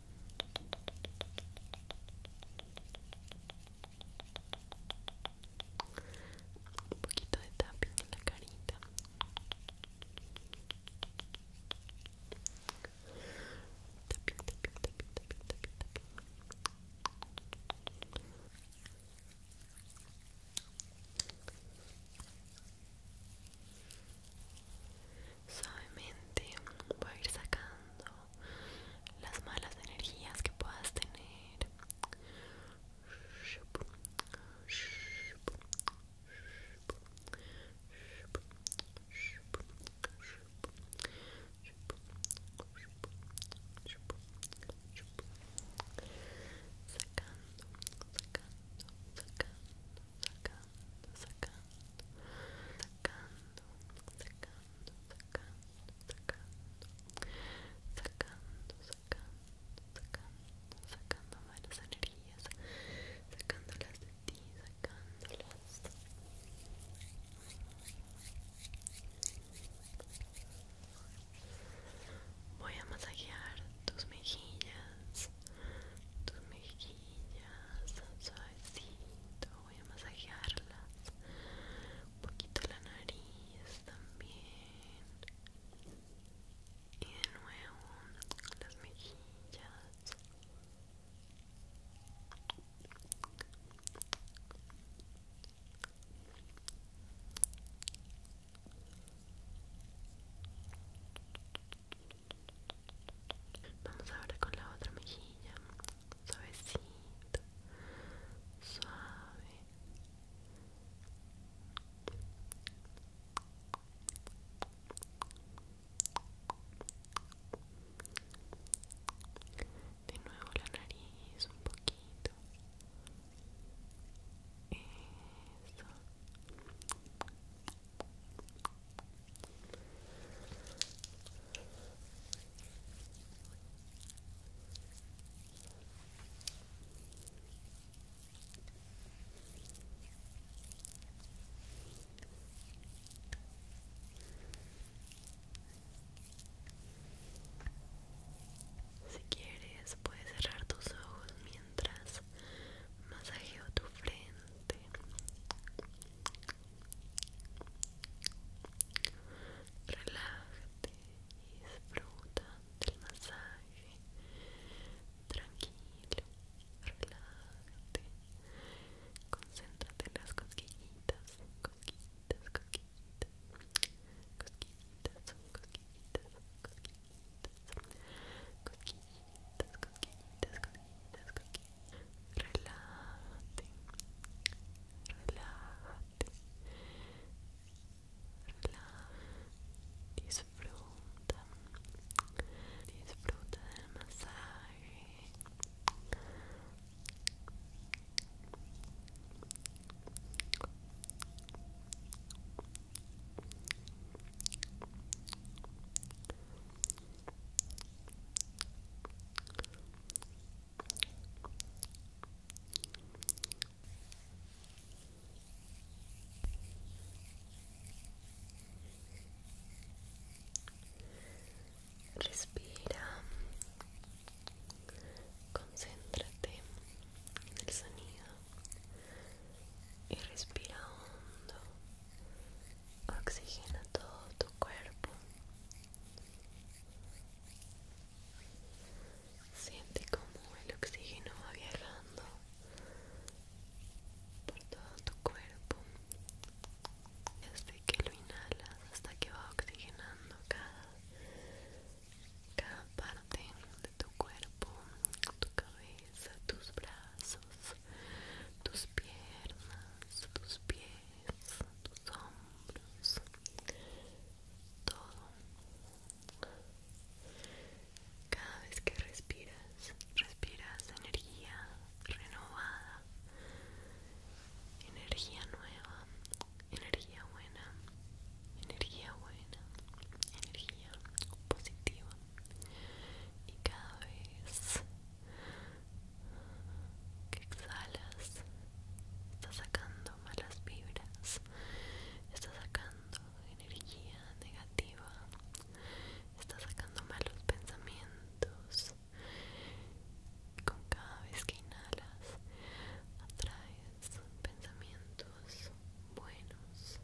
un poquito de tapping en la carita tapping, tapping, tapping, tapping, tapping, suavemente voy a ir sacando las malas energías que puedas tener sacando sacando sacando sacando sacando, sacando, sacando, sacando, sacando, sacando, sacando, sacando las energías, sacándolas de ti, sacándolas. Voy a masajear tus mejillas, tus mejillas, suavecito, voy a masajearlas un poquito la nariz también y de nuevo las mejillas Vamos ahora con la otra mejilla, suavecito, suave. De nuevo la nariz un poquito. Si quieres, puedes cerrar tus ojos mientras masajeo tu frente. Relájate y disfruta del masaje. Tranquilo, relájate. Concéntrate en las cosquillitas, cosquillitas, cosquillitas. Cosquillitas, cosquillitas, cosquillitas. Cosquillitas, cosquillitas, cosquillitas, cosquillitas relájate, relájate, relájate, disfruta, disfruta del masaje. Respira, concéntrate en el sonido y respira hondo oxigena todo tu cuerpo. Siente como el oxígeno va viajando por todo tu cuerpo, desde que lo inhalas hasta que va oxigenando cada, cada parte de tu cuerpo, tu cabeza, tus brazos, tus piernas, tus pies tus hombros, todo. Cada vez que respiras, respiras energía renovada, energía nueva, energía buena, energía buena, energía positiva. Y cada vez que exhalas está sacando malas vibras, está sacando energía negativa, está sacando malos pensamientos. Con cada vez que inhalas, atraes pensamientos buenos,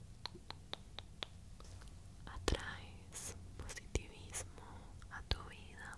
atraes positivismo a tu vida,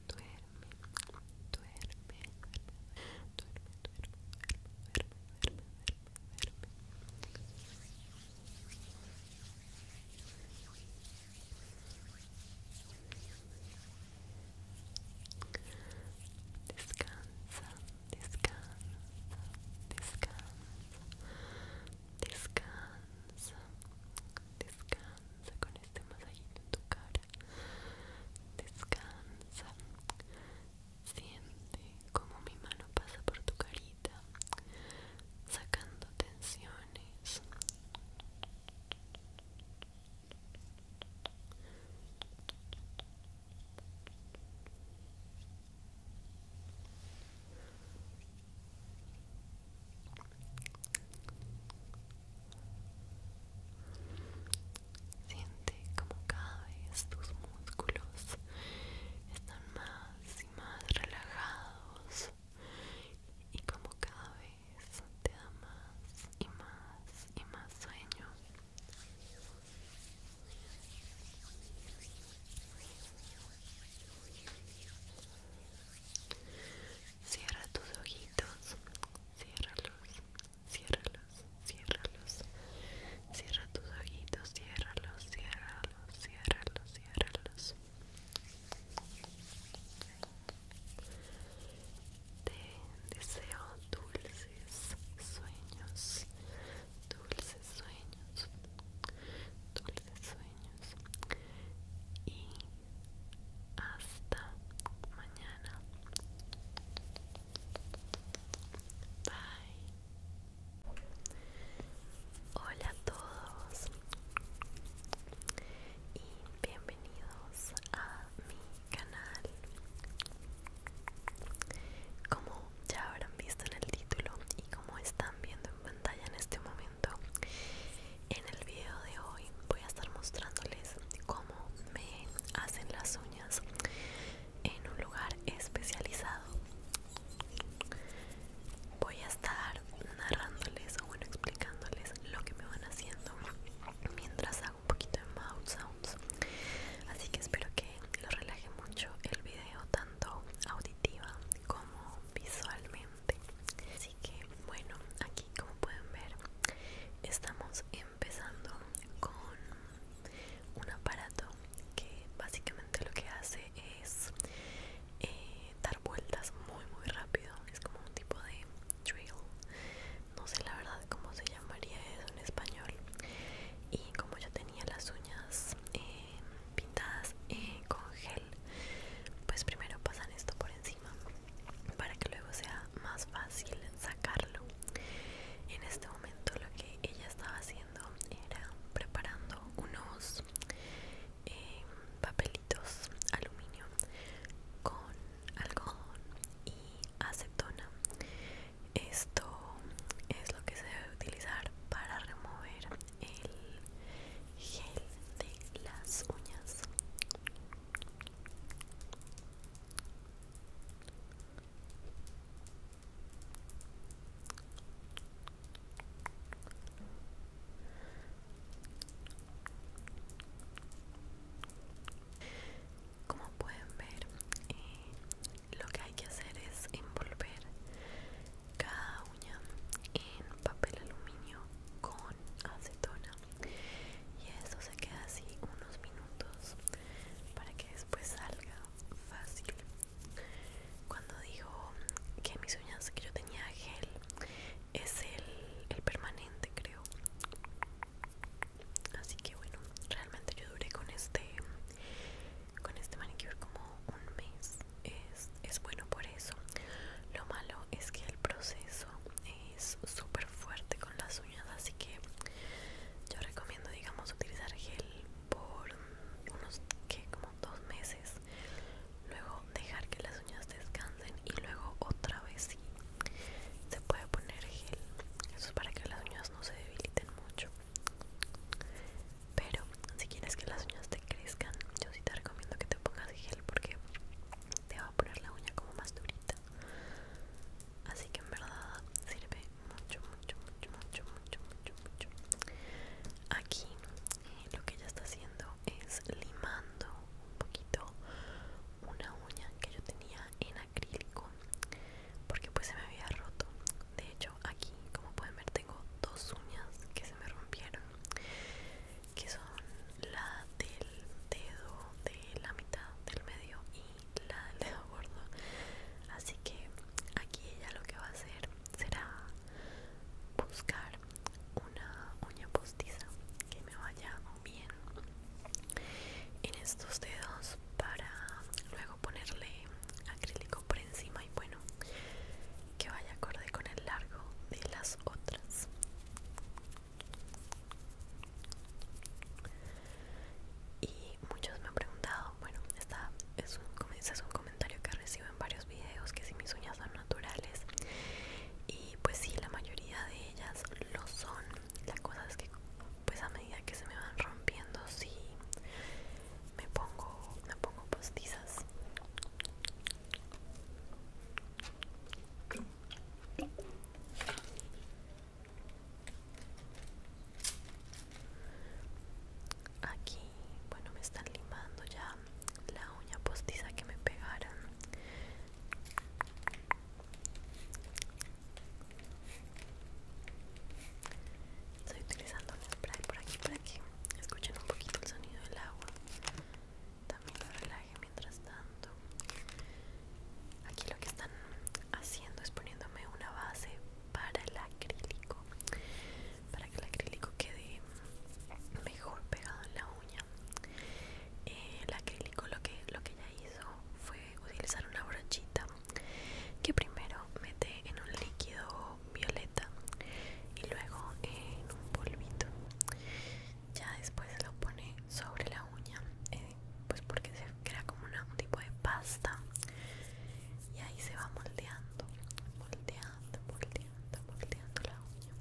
duerme, duerme, Descansa, descansa, descansa, descansa, descansa masajito en tu cara descansa siente como mi mano pasa por tu carita sacando tensiones Siente como cada vez tus músculos están más y más relajados y como cada vez te da más y más y más sueño. Cierra tus ojitos, ciérralos ciérralos, ciérralos. Cierra tus ojitos, ciérralos, ciérralos, ciérralos, ciérralos. Te deseo dulces sueños, dulces sueños, dulces sueños. Y hasta mañana. Hola a todos y bienvenidos a mi canal. Como ya habrán visto en el título y como están viendo en pantalla en este momento, en el video de hoy voy a estar mostrándoles cómo me hacen las uñas en un lugar especializado. Voy a estar narrándoles o bueno explicándoles lo que me van haciendo mientras hago un poquito de mouth sounds. Así que espero que lo relaje mucho el video tanto auditiva como visualmente. Así que bueno, aquí como pueden ver estamos en empezando con un aparato que básicamente lo que hace es eh, dar vueltas muy muy rápido es como un tipo de drill no sé la verdad cómo se llamaría eso en español y como yo tenía las uñas eh, pintadas eh, con gel pues primero pasan esto por encima para que luego sea más fácil sacarlo en este momento lo que ella estaba haciendo era preparando unos em, papelitos aluminio con algodón y acetona esto es lo que se debe utilizar para remover el gel de las uñas como pueden ver, eh, lo que hay que hacer es envolver cada uña en papel aluminio con acetona y eso se queda así unos minutos para que después salga fácil cuando digo que mis uñas que yo tenía gel es el, permanente creo así que bueno realmente yo duré con este con este manicure como un mes es, es bueno por eso lo malo es que el proceso eh, es súper fuerte con las uñas así que yo recomiendo digamos utilizar gel por unos que como dos meses luego dejar que las uñas descansen y luego otra vez se puede poner gel eso es para que las uñas no se debiliten mucho pero si quieres que las uñas te crezcan yo sí te recomiendo que te pongas gel porque te va a poner la uña como más durita así que en verdad sirve mucho mucho mucho mucho mucho mucho aquí eh, lo que ella está haciendo es limando un poquito una uña que yo tenía en acrílico porque pues se me había roto de hecho aquí como pueden ver tengo dos uñas que se me rompieron que son la del dedo de la mitad del medio y la del dedo gordo así que aquí ella lo que va a hacer será buscar una uña postiza que me vaya bien en estos dedos para luego ponerle acrílico por encima y bueno que vaya acorde con el largo de las otras y muchos me han preguntado, bueno, esta es un, un comentario que recibo en varios videos, que si mis uñas son naturales. Y pues si, la mayoría de ellas lo son. La cosa es que pues a medida que se me van rompiendo, sí, me pongo, me pongo postizas. Aquí, bueno, me están limando ya la uña postiza que me pegaron. Estoy utilizando un spray por aquí para que escuchen un poquito el sonido del agua. También lo relaje mientras tanto aquí lo que están haciendo es poniéndome una base para el acrílico para que el acrílico quede mejor pegado en la uña eh, el acrílico lo que lo que ella hizo fue utilizar una brochita que primero mete en un líquido violeta y luego en un polvito ya después lo pone sobre la uña pues porque se crea como un tipo de pasta y ahí se va moldeando, moldeando, moldeando, moldeando la uña.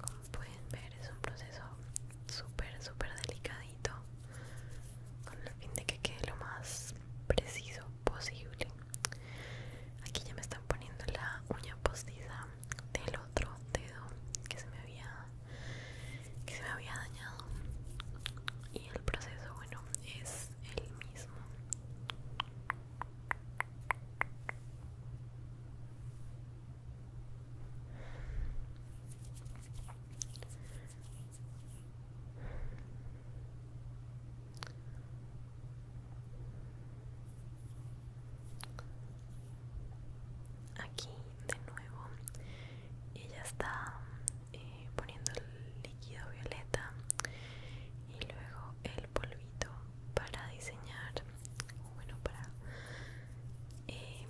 Como pueden ver es un proceso súper, súper delicadito con el fin de que quede lo más preciso posible. Aquí ya me están poniendo la uña postiza del otro dedo que se me había que se me había dañado y el proceso bueno es el mismo aquí de nuevo ella está eh, poniendo el líquido violeta y luego el polvito para diseñar bueno para eh,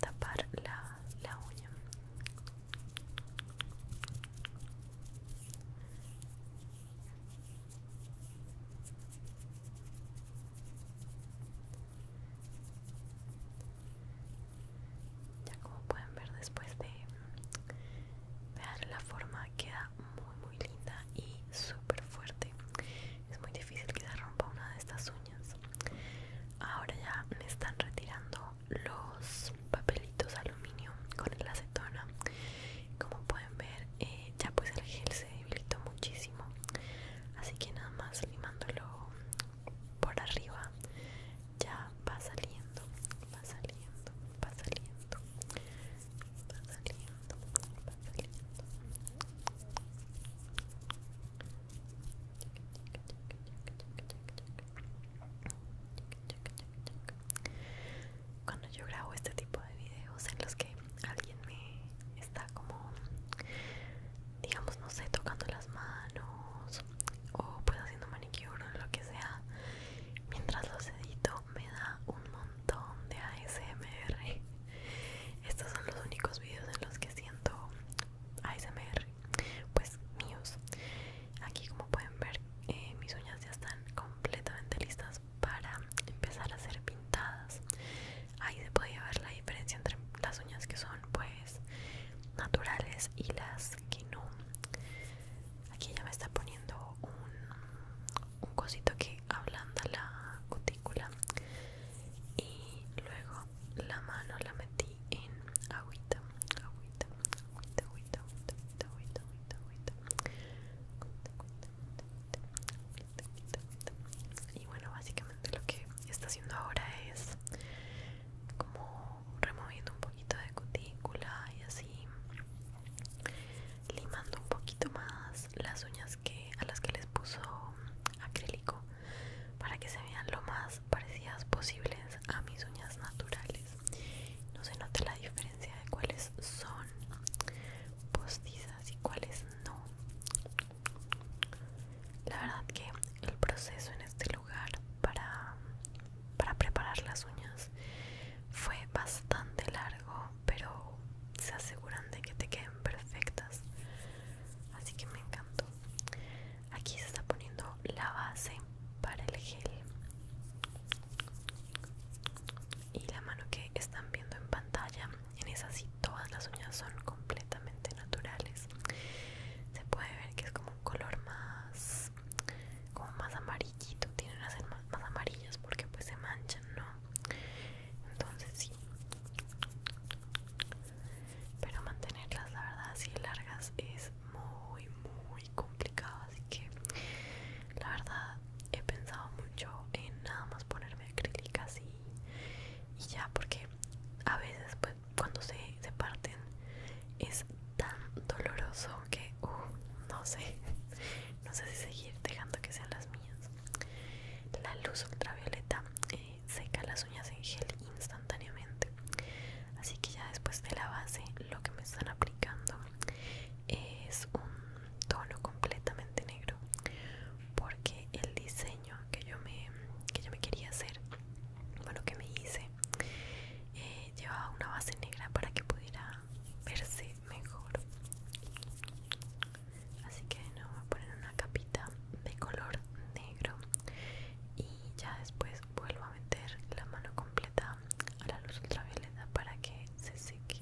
tapar la, la uña ya como pueden ver después de vean la forma queda muy muy linda y super fuerte. Es muy difícil que se rompa una de estas uñas. Ahora ya me están retirando los papelitos aluminio con el acetona. Como pueden ver eh, ya pues el gel se debilitó muchísimo así que nada más limándolo por arriba ya va saliendo va saliendo va saliendo va saliendo va saliendo cuando yo grabo este tipo de videos en los que alguien me está como, digamos, no sé, tocando las manos o pues haciendo maniquí o lo que sea, mientras los edito me da un montón de ASMR. Estos son los únicos videos en los que siento ASMR, pues míos. Aquí como pueden ver eh, mis uñas ya están completamente listas para empezar a ser pintadas ahí se podía ver la diferencia entre las uñas que son pues naturales y las que no aquí ya me está poniendo un, cosito que ablanda la cutícula y luego la mano la metí en agüita agüita agüita agüita agüita, agüita, agüita, agüita, agüita. Y bueno, básicamente lo que está haciendo ahora es como removiendo un poquito de cutícula y así limando un poquito más las uñas que a las que les puso acrílico para que se vean lo más parecidas posibles a mis uñas naturales. No se note la diferencia de cuáles son postizas y cuáles no. La verdad que el proceso en este lugar para, preparar las uñas fue bastante largo, pero se aseguran de que te queden perfectas. Así que me encantó. Aquí se está poniendo la base para el gel. Y la mano que están viendo en pantalla en esas sí todas las uñas son completamente naturales. Se puede ver que es como un color más como más amarillito, tienen a ser más, amarillas porque pues se manchan, ¿no? Entonces sí. Pero mantenerlas la verdad así largas es muy muy complicado, así que la verdad he pensado mucho en nada más ponerme acrílica así y, ya porque a veces pues cuando se, parten es tan doloroso que uh, no sé no sé si seguir dejando que sean las mías la luz ultravioleta eh, seca las uñas en gel instantáneamente así que ya después de la base lo que me están aplicando es un tono completamente negro porque el diseño que yo me, que yo me quería hacer, bueno, que me hice, eh, llevaba una base negra para que pudiera verse mejor. Así que no voy a poner una capita de color negro y ya después vuelvo a meter la mano completa a la luz ultravioleta para que se seque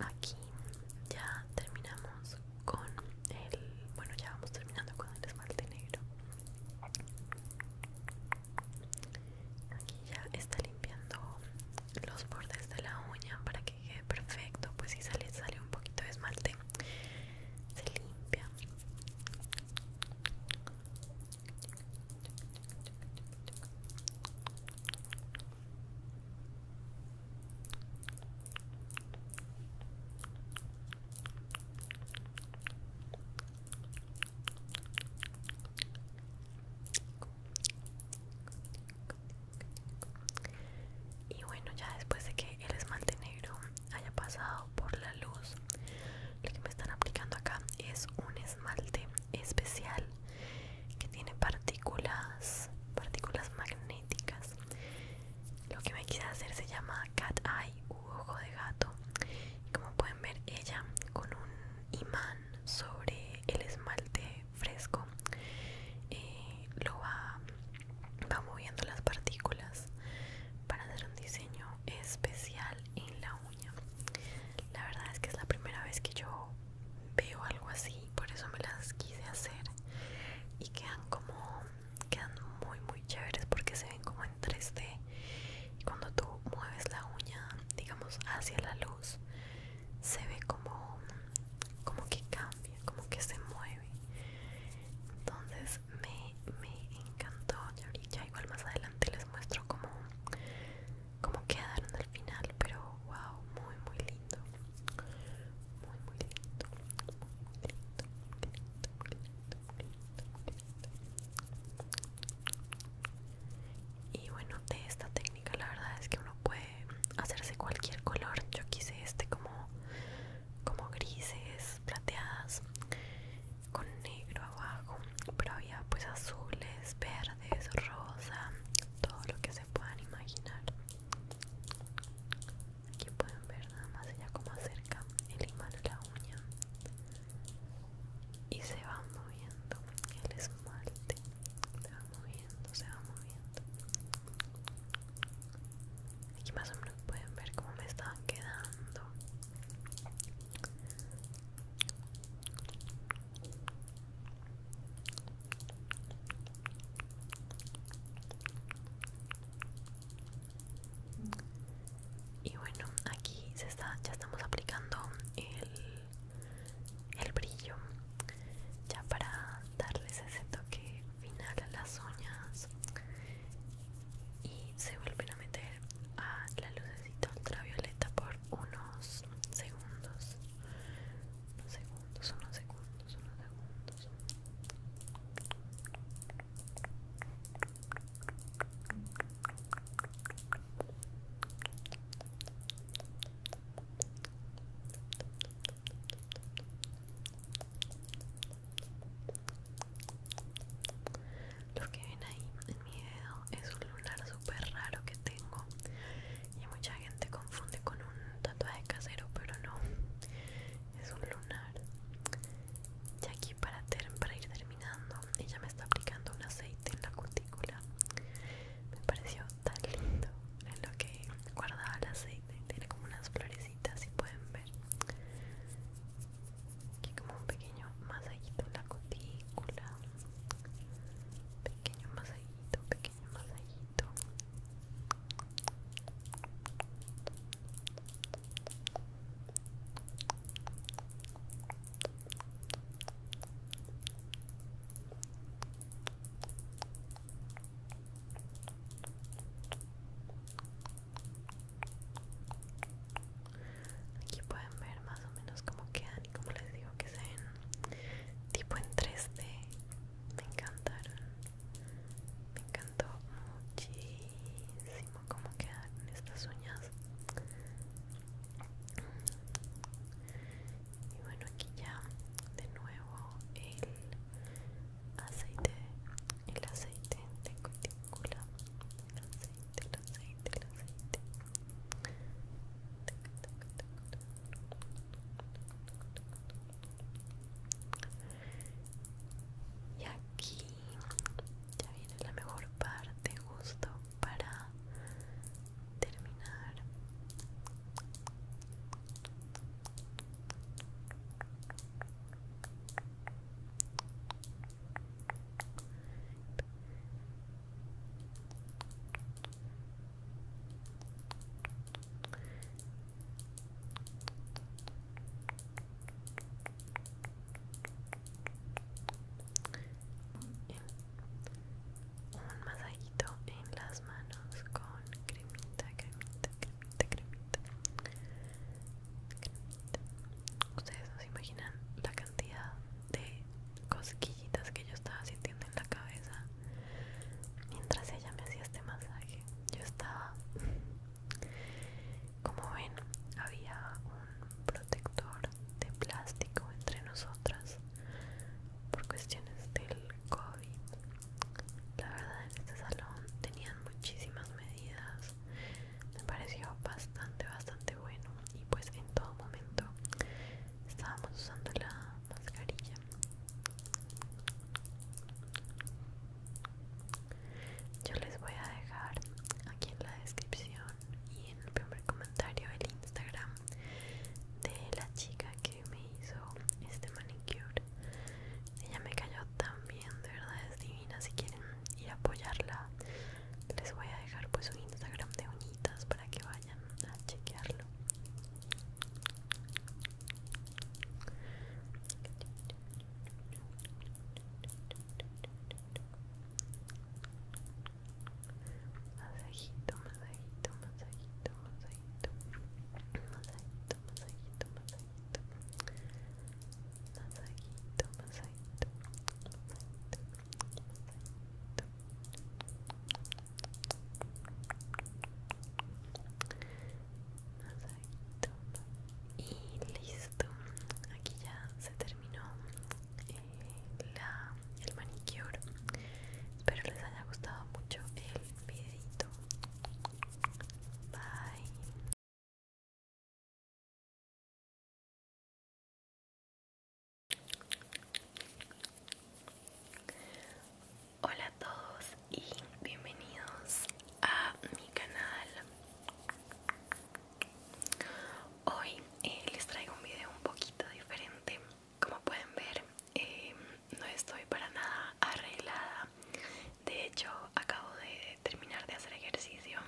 Aquí ya terminamos con el, bueno ya vamos terminando con el esmalte negro. Aquí ya está limpiando los bordes de la uña para que quede perfecto. Pues si sale, sale un poquito de esmalte. Se limpia. Y bueno, ya después de que el esmalte negro haya pasado por la luz, lo que me están aplicando acá es un esmalte especial que tiene partículas, partículas magnéticas. Lo que me quise hacer se llama cat eye u ojo de gato. Y como pueden ver, ella con un imán sobre el esmalte fresco lo va, va moviendo las partículas para hacer un diseño especial en la uña la verdad es que es la primera vez que yo veo algo así por eso me las quise hacer y quedan como quedan muy muy chéveres porque se ven como en 3D cuando tú mueves la uña digamos hacia la luz se ve como como que cambia como que se mueve entonces me, encantó ya igual más adelante les muestro como cómo quedaron al final pero wow muy muy lindo muy muy lindo y bueno de esta técnica la verdad es que uno puede hacerse cualquier color yo quise este como como grises plateadas con negro abajo pero había pues azules verdes rosa todo lo que se puedan imaginar aquí pueden ver nada más ella como acerca el imán a la uña y se va moviendo el esmalte se va moviendo, se va moviendo. Aquí más o menos pueden ver cómo me estaban quedando. Y bueno, aquí se está, ya estamos aplicando el el brillo ya para darles ese toque final a las uñas y se vuelven a meter a la lucecita ultravioleta por unos segundos unos segundos, unos segundos, unos segundos lo que ven ahí en mi dedo es un lunar súper raro que tengo y mucha gente confunde con un tatuaje casero, pero no, es un lunar. Y aquí para, ir terminando, ella me está aplicando un aceite en la cutícula me pareció tan lindo en lo que guardaba el aceite tiene como unas florecitas si pueden ver aquí como un pequeño masajito en la cutícula pequeño masajito pequeño masajito Aquí pueden ver más o menos cómo quedan y como les digo que se ven tipo en 3D. Me encantaron. Me encantó muchísimo cómo quedan estas uñas y bueno aquí ya de nuevo el aceite el aceite de cutícula el aceite el aceite el aceite y aquí ya viene la mejor parte justo para terminar un masajito en las manos con cremita, cremita, cremita, cremita. Ustedes no imaginan la cantidad de cosquillitas que yo estaba sintiendo en la cabeza mientras ella me hacía este masaje. Yo estaba, como ven, había un protector de plástico entre nosotras por cuestiones del COVID. La verdad, en este salón tenían muchísimas medidas. Me pareció bastante, bastante bueno. Y pues en todo momento estábamos usando la mascarilla. Yo les voy a dejar aquí en la descripción y en el primer comentario el Instagram de la chica que me hizo este manicure ella me cayó también de verdad es divina si quieren ir a apoyarla les voy a dejar pues su instagram de uñitas para que vayan a chequearlo Masajito, masajito, masajito, masajito. Masajito, masajito, masajito. Masajito, masajito. Y listo, aquí ya se terminó eh, la el manicure espero les haya gustado mucho el videito bye hola a todos y bienvenidos a mi canal Hoy eh, les traigo un video un poquito diferente como pueden ver em, no estoy para nada arreglada de hecho acabo de terminar de hacer ejercicio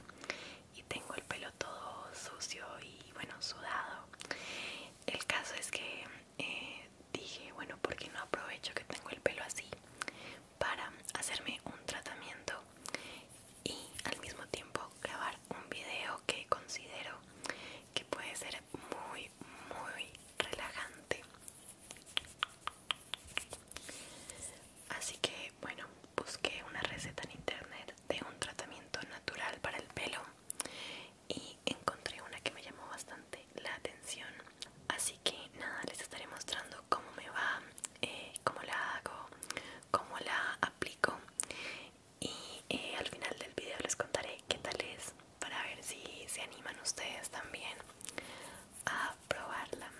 y tengo el pelo todo sucio y bueno sudado el caso es que eh, dije bueno porque no aprovecho que tengo el pelo así para hacerme un tratamiento y al mismo tiempo grabar un video que considero que puede ser muy muy relajante así que bueno busqué una receta en internet de un tratamiento natural para el pelo y encontré una que me llamó bastante la atención así que nada les estaré mostrando cómo me va eh, cómo la hago cómo la aplico y eh, al final del video les contaré qué tal es para ver si se animan ustedes también a probarla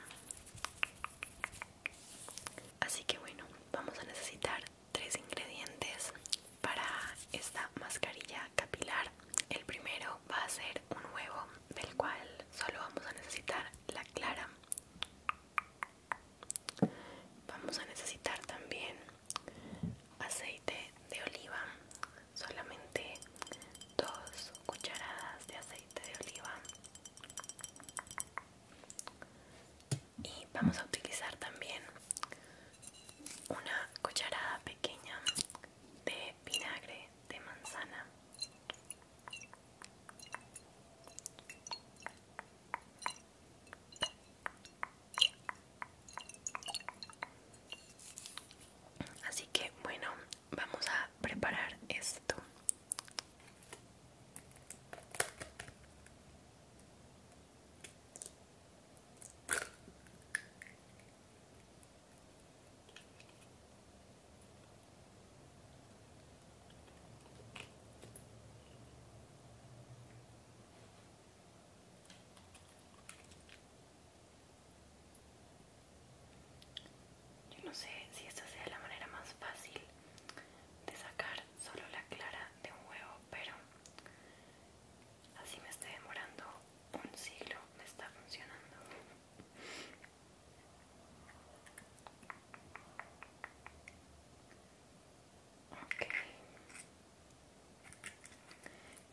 así que bueno vamos a necesitar tres ingredientes para esta mascarilla capilar el primero va a ser un huevo del cual solo vamos a necesitar la clara vamos a necesitar también aceite de oliva, solamente dos cucharadas de aceite de oliva. Y vamos a utilizar también una cucharada pequeña de vinagre de manzana. Así que bueno, vamos a preparar esto. Yo no sé si esta sea la manera más fácil de sacar solo la clara de un huevo, pero así me estoy demorando un siglo, me está funcionando. Ok.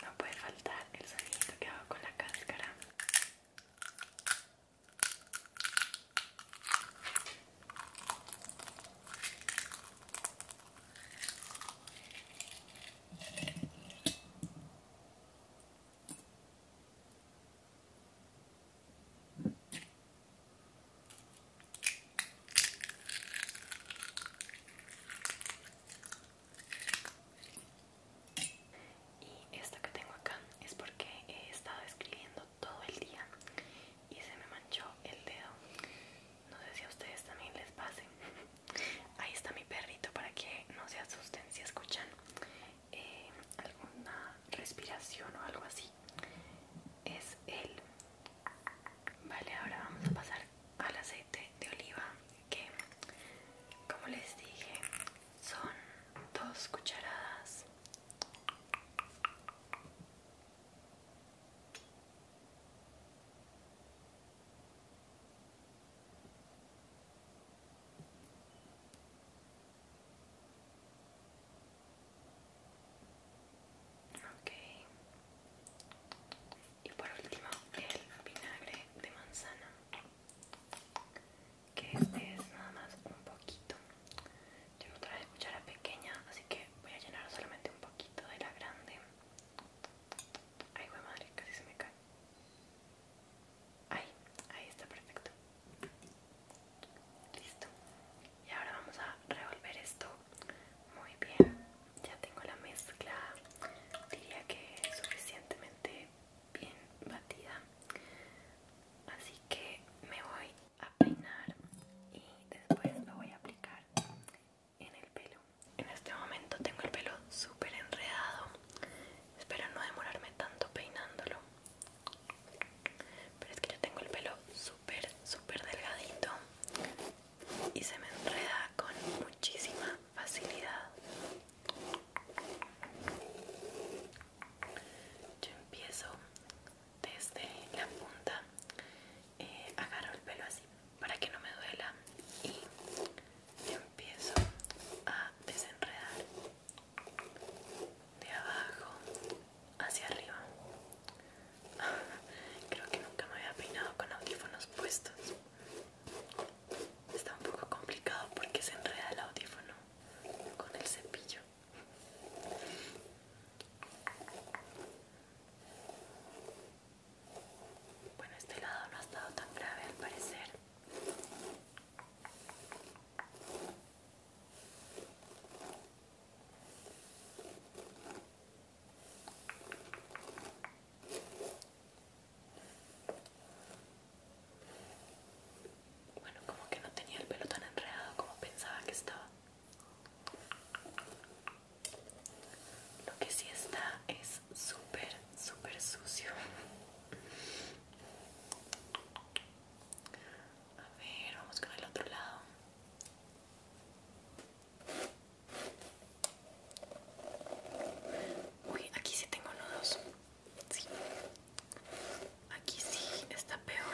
No puede faltar el sonido que hago con la cáscara. Y esta que tengo acá es porque he estado escribiendo todo el día y se me manchó el dedo. No sé si a ustedes también les pase. Ahí está mi perrito para que no se asusten si escuchan eh, alguna respiración o algo así. Es él. Vale, ahora vamos a pasar al aceite de oliva que como les dije son dos cucharadas Okay y por último el vinagre de manzana que este es nada más un poquito yo no traje cuchara pequeña así que voy a llenar solamente un poquito de la grande ay güey madre casi se me cae ahí ahí está perfecto listo y ahora vamos a revolver esto muy bien, ya tengo la mezcla, diría que suficientemente bien batida. Así que me voy a peinar y después lo voy a aplicar en el pelo. En este momento tengo el pelo súper enredado. Espero no demorarme tanto peinándolo. Pero es que yo tengo el pelo súper, súper delgadito y se me enreda con muchísima facilidad. Yo empiezo desde la punta, eh, agarro el pelo así para que no me duela y empiezo a desenredar de abajo hacia arriba. Creo que nunca me había peinado con audífonos puestos. Está un poco complicado porque se enreda el audífono con el cepillo. Bueno, este lado no ha estado tan grave al parecer. Bueno, como que no tenía el pelo tan enredado como pensaba que estaba. Lo que sí está es súper, súper sucio. A ver, vamos con el otro lado. Uy, aquí sí tengo nudos. Sí. Aquí sí está peor.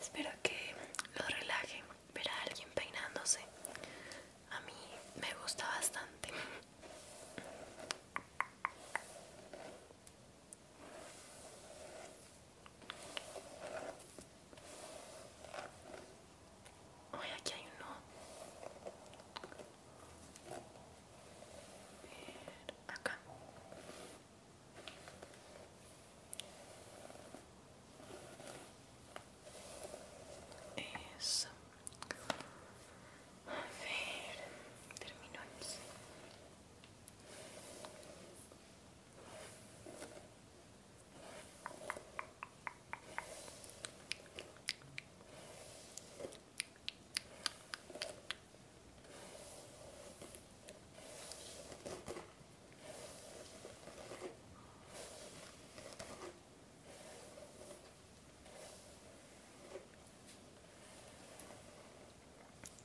Espero que lo relaje Ver a alguien peinándose. A mí me gusta bastante hoy aquí hay uno. A ver, acá. Eso. A ver, termino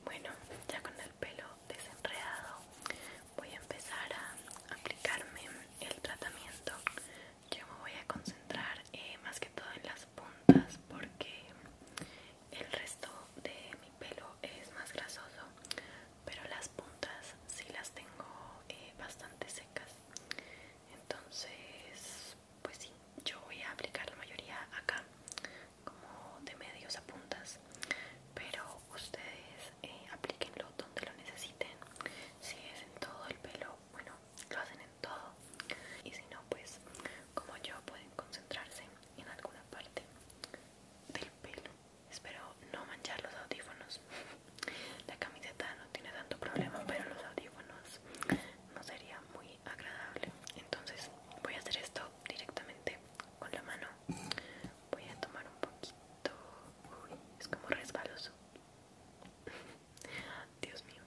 bueno, ya con el pelo desenredado voy a empezar a aplicarme el tratamiento yo me voy a concentrar eh, más que todo en las puntas porque el resto de mi pelo es más grasoso pero las puntas sí las tengo eh, bastante secas entonces pues sí yo voy a aplicar la mayoría acá como de medios a puntas pero ustedes eh, apliquenlo donde lo necesiten si es en todo el pelo bueno, lo hacen en todo y si no pues como yo pueden concentrarse en alguna parte del pelo espero no manchar los audífonos la camiseta no tiene tanto problema pero los audífonos no sería muy agradable entonces voy a hacer esto directamente con la mano voy a tomar un poquito es como resbaloso Dios mío.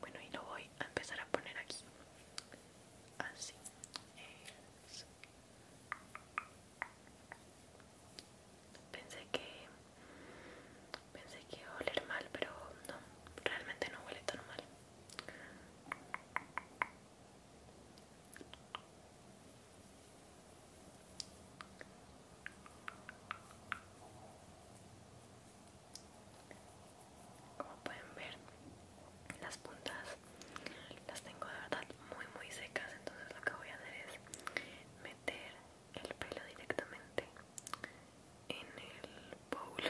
Bueno, y lo voy a empezar a poner aquí. Así. Pensé que pensé que iba a oler mal, pero no, realmente no huele tan mal. Como pueden ver, las puntas las tengo de verdad muy muy secas, entonces lo que voy a hacer es meter el pelo directamente en el bowl.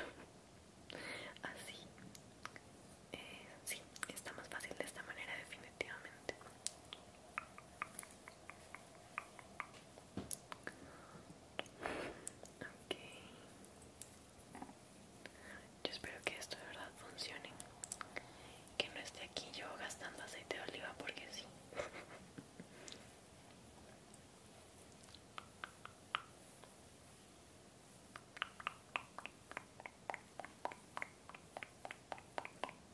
Así. Eh, sí, está más fácil de esta manera definitivamente. Yo espero que esto de verdad funcione. Que no esté aquí yo gastando aceite de oliva porque sí.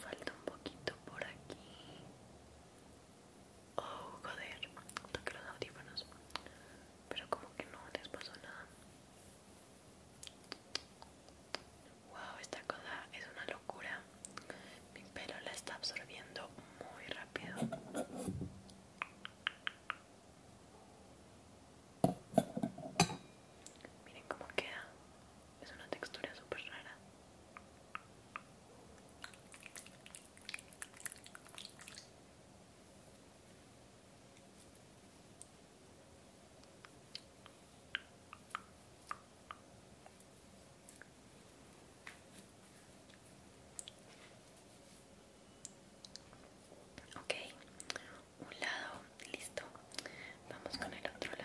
Falta un poquito por aquí. Oh, joder, toqué los audífonos, pero como que no les pasó nada. Wow, esta cosa es una locura. Mi pelo la está absorbiendo muy rápido. Miren cómo queda. Es una textura súper rara. Okay, un lado, listo. Vamos con el otro lado.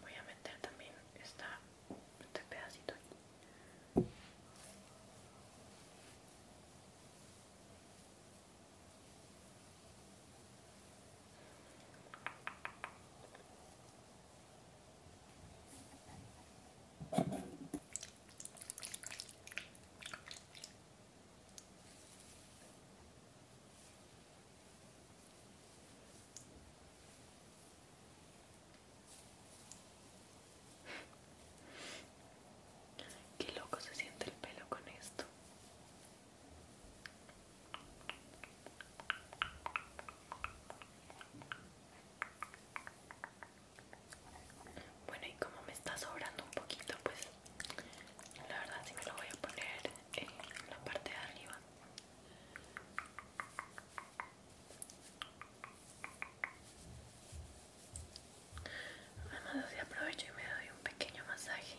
Voy a meter también esta, este pedacito Qué loco se siente el pelo con esto. Bueno, y como me está sobrando un poquito, pues la verdad sí me lo voy a poner en la parte de arriba. Además así aprovecho y me doy un pequeño masaje.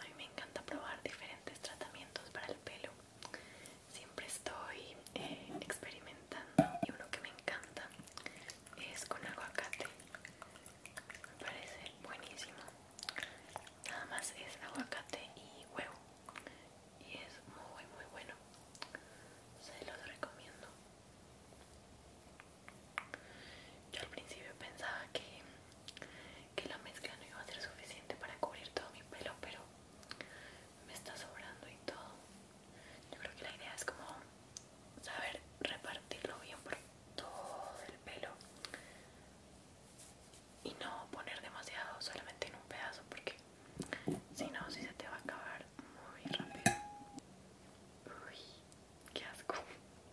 A mí me encanta probar diferentes tratamientos para el pelo. Siempre estoy eh, experimentando y uno que me encanta es con aguacate. Me parece buenísimo. Nada más es aguacate y huevo. Y es muy muy bueno. Se los recomiendo. Yo al principio pensaba que que la mezcla no iba a ser suficiente para cubrir todo mi pelo, pero me está sobrando y todo. Yo creo que la idea es como saber repartirlo bien por todo el pelo y no poner demasiado solamente en un pedazo porque si no, si se te va a acabar muy rápido. Uy, qué asco.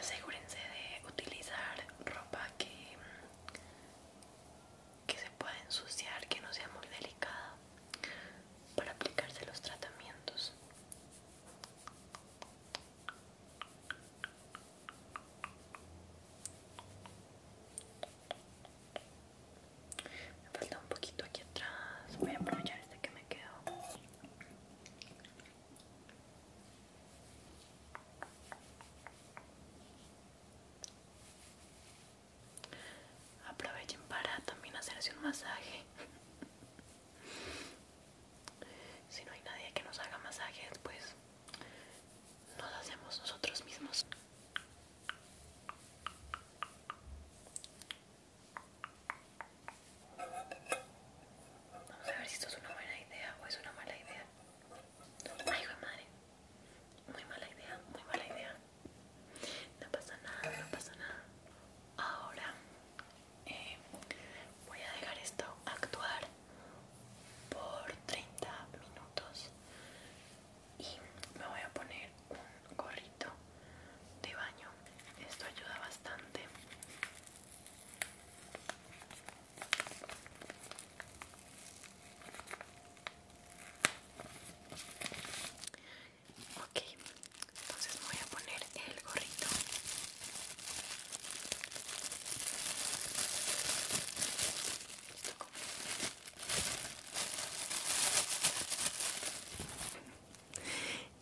Asegúrense de utilizar ropa que, que se pueda ensuciar, que no sea muy delicada para aplicarse los tratamientos. Me falta un poquito aquí atrás. Voy a aprovechar este que me quedó. Aprovechen para también hacerse un masaje. Si no hay nadie que nos haga masajes, pues nos hacemos nosotros mismos. Vamos a ver si esto es una buena idea o es una mala idea. Ay, madre. Muy mala idea, muy mala idea. No pasa nada, no pasa nada. Ahora eh, voy a dejar esto actuar por 30 minutos y me voy a poner un gorrito de baño esto ayuda bastante ok entonces me voy a poner el gorrito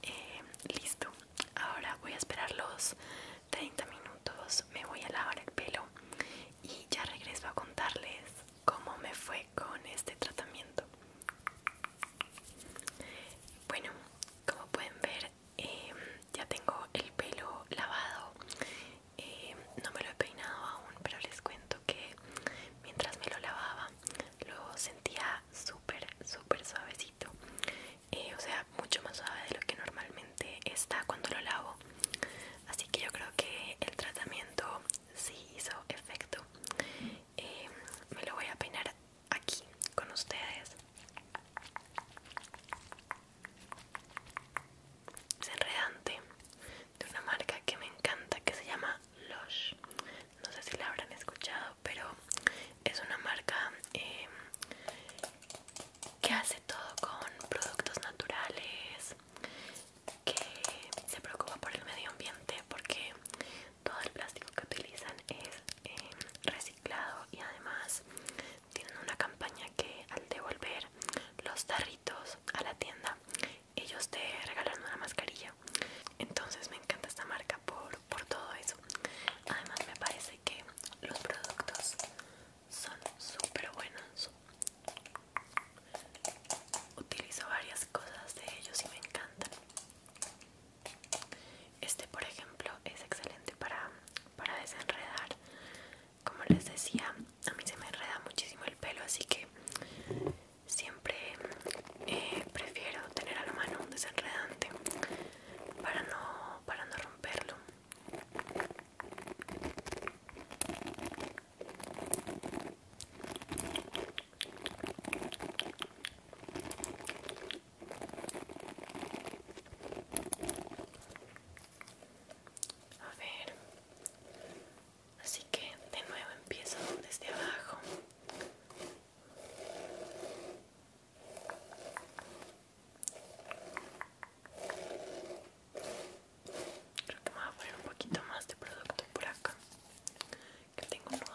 eh, listo, ahora voy a esperar los 30 minutos, me voy a lavar el pelo y ya regreso a contarles cómo me fue con este tratamiento. Bueno, como pueden ver Em, ya tengo el pelo lavado em, no me lo he peinado aún pero les cuento que mientras me lo lavaba lo sentía súper súper suavecito eh, o sea mucho más suave de lo que normalmente está cuando lo lavo así que yo creo que el tratamiento sí hizo efecto em, me lo voy a peinar aquí con ustedes enredante de una marca que me encanta que se llama Lush no sé si la habrán escuchado pero es una marca em, que hace todo con productos naturales que se preocupa por el medio ambiente porque todo el plástico que utilizan es eh, y además tienen una campaña que al devolver los tarritos a la tienda ellos te regalan una mascarilla entonces me encanta esta marca por, por todo eso además me parece que los productos son súper buenos utilizo varias cosas de ellos y me encantan este, por ejemplo, es excelente para, para desenredar. Como les decía, a mí se me enreda muchísimo el pelo, así que siempre eh, prefiero tener a la mano un desenredante para no, para no romperlo. A ver. Así que de nuevo empiezo desde abajo. Creo que me voy a poner un poquito más de producto por acá. Que tengo un nudo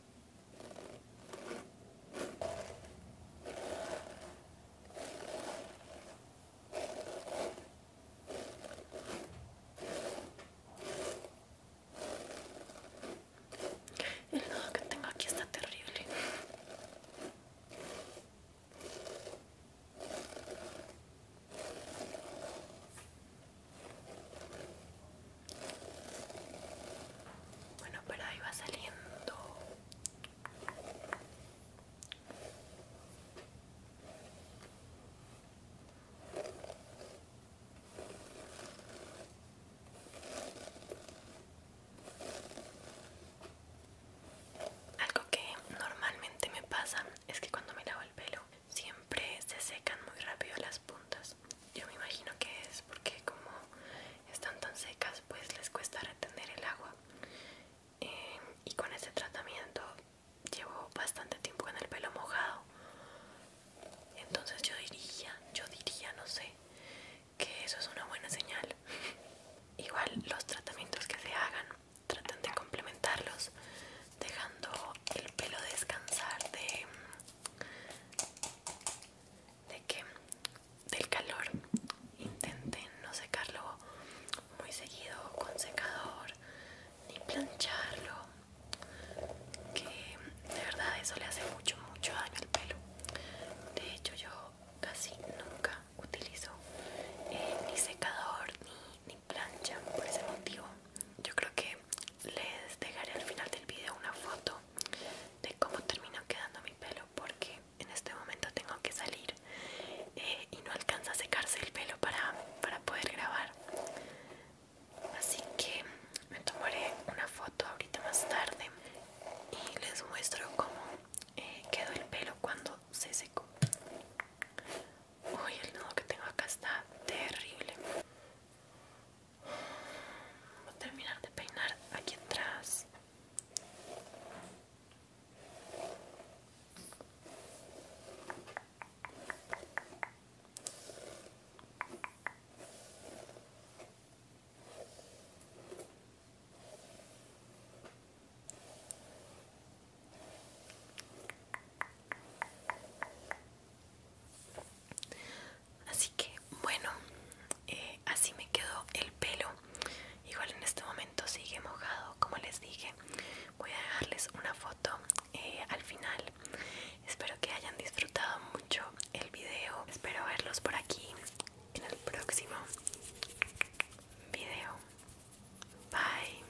El nudo que tengo aquí está terrible. Bueno, pero ahí va saliendo. Algo que normalmente me pasa es que cuando me lavo el pelo siempre se secan muy rápido las puntas yo me imagino que es porque como están tan secas pues les cuesta retener el agua. Em, y con este tratamiento llevo bastante tiempo con el pelo mojado. Entonces yo diría, yo diría, no sé, que eso es una buena señal. Igual los tratamientos que se hagan, traten de complementarlos dejando el pelo descansar de de que del calor intenten no secarlo muy seguido con secador ni plancharlo que de verdad eso le hace mucho mucho daño al pelo de hecho yo casi nunca utilizo eh, ni secador ni, plancha por ese motivo yo creo que les dejaré al final del video una foto de cómo terminó quedando mi pelo porque en este momento tengo que salir eh, y no alcanza a secarse el pelo para, poder grabar así que me tomaré una foto ahorita más tarde y les muestro cómo eh, quedó el pelo cuando se secó uy el nudo que tengo acá está terrible Voy a terminar de peinar aquí atrás así que bueno eh, así me quedó el pelo igual en este momento sigue mojado como les dije voy a dejarles una foto eh, al final espero que hayan disfrutado mucho el video espero verlos por aquí en el próximo video bye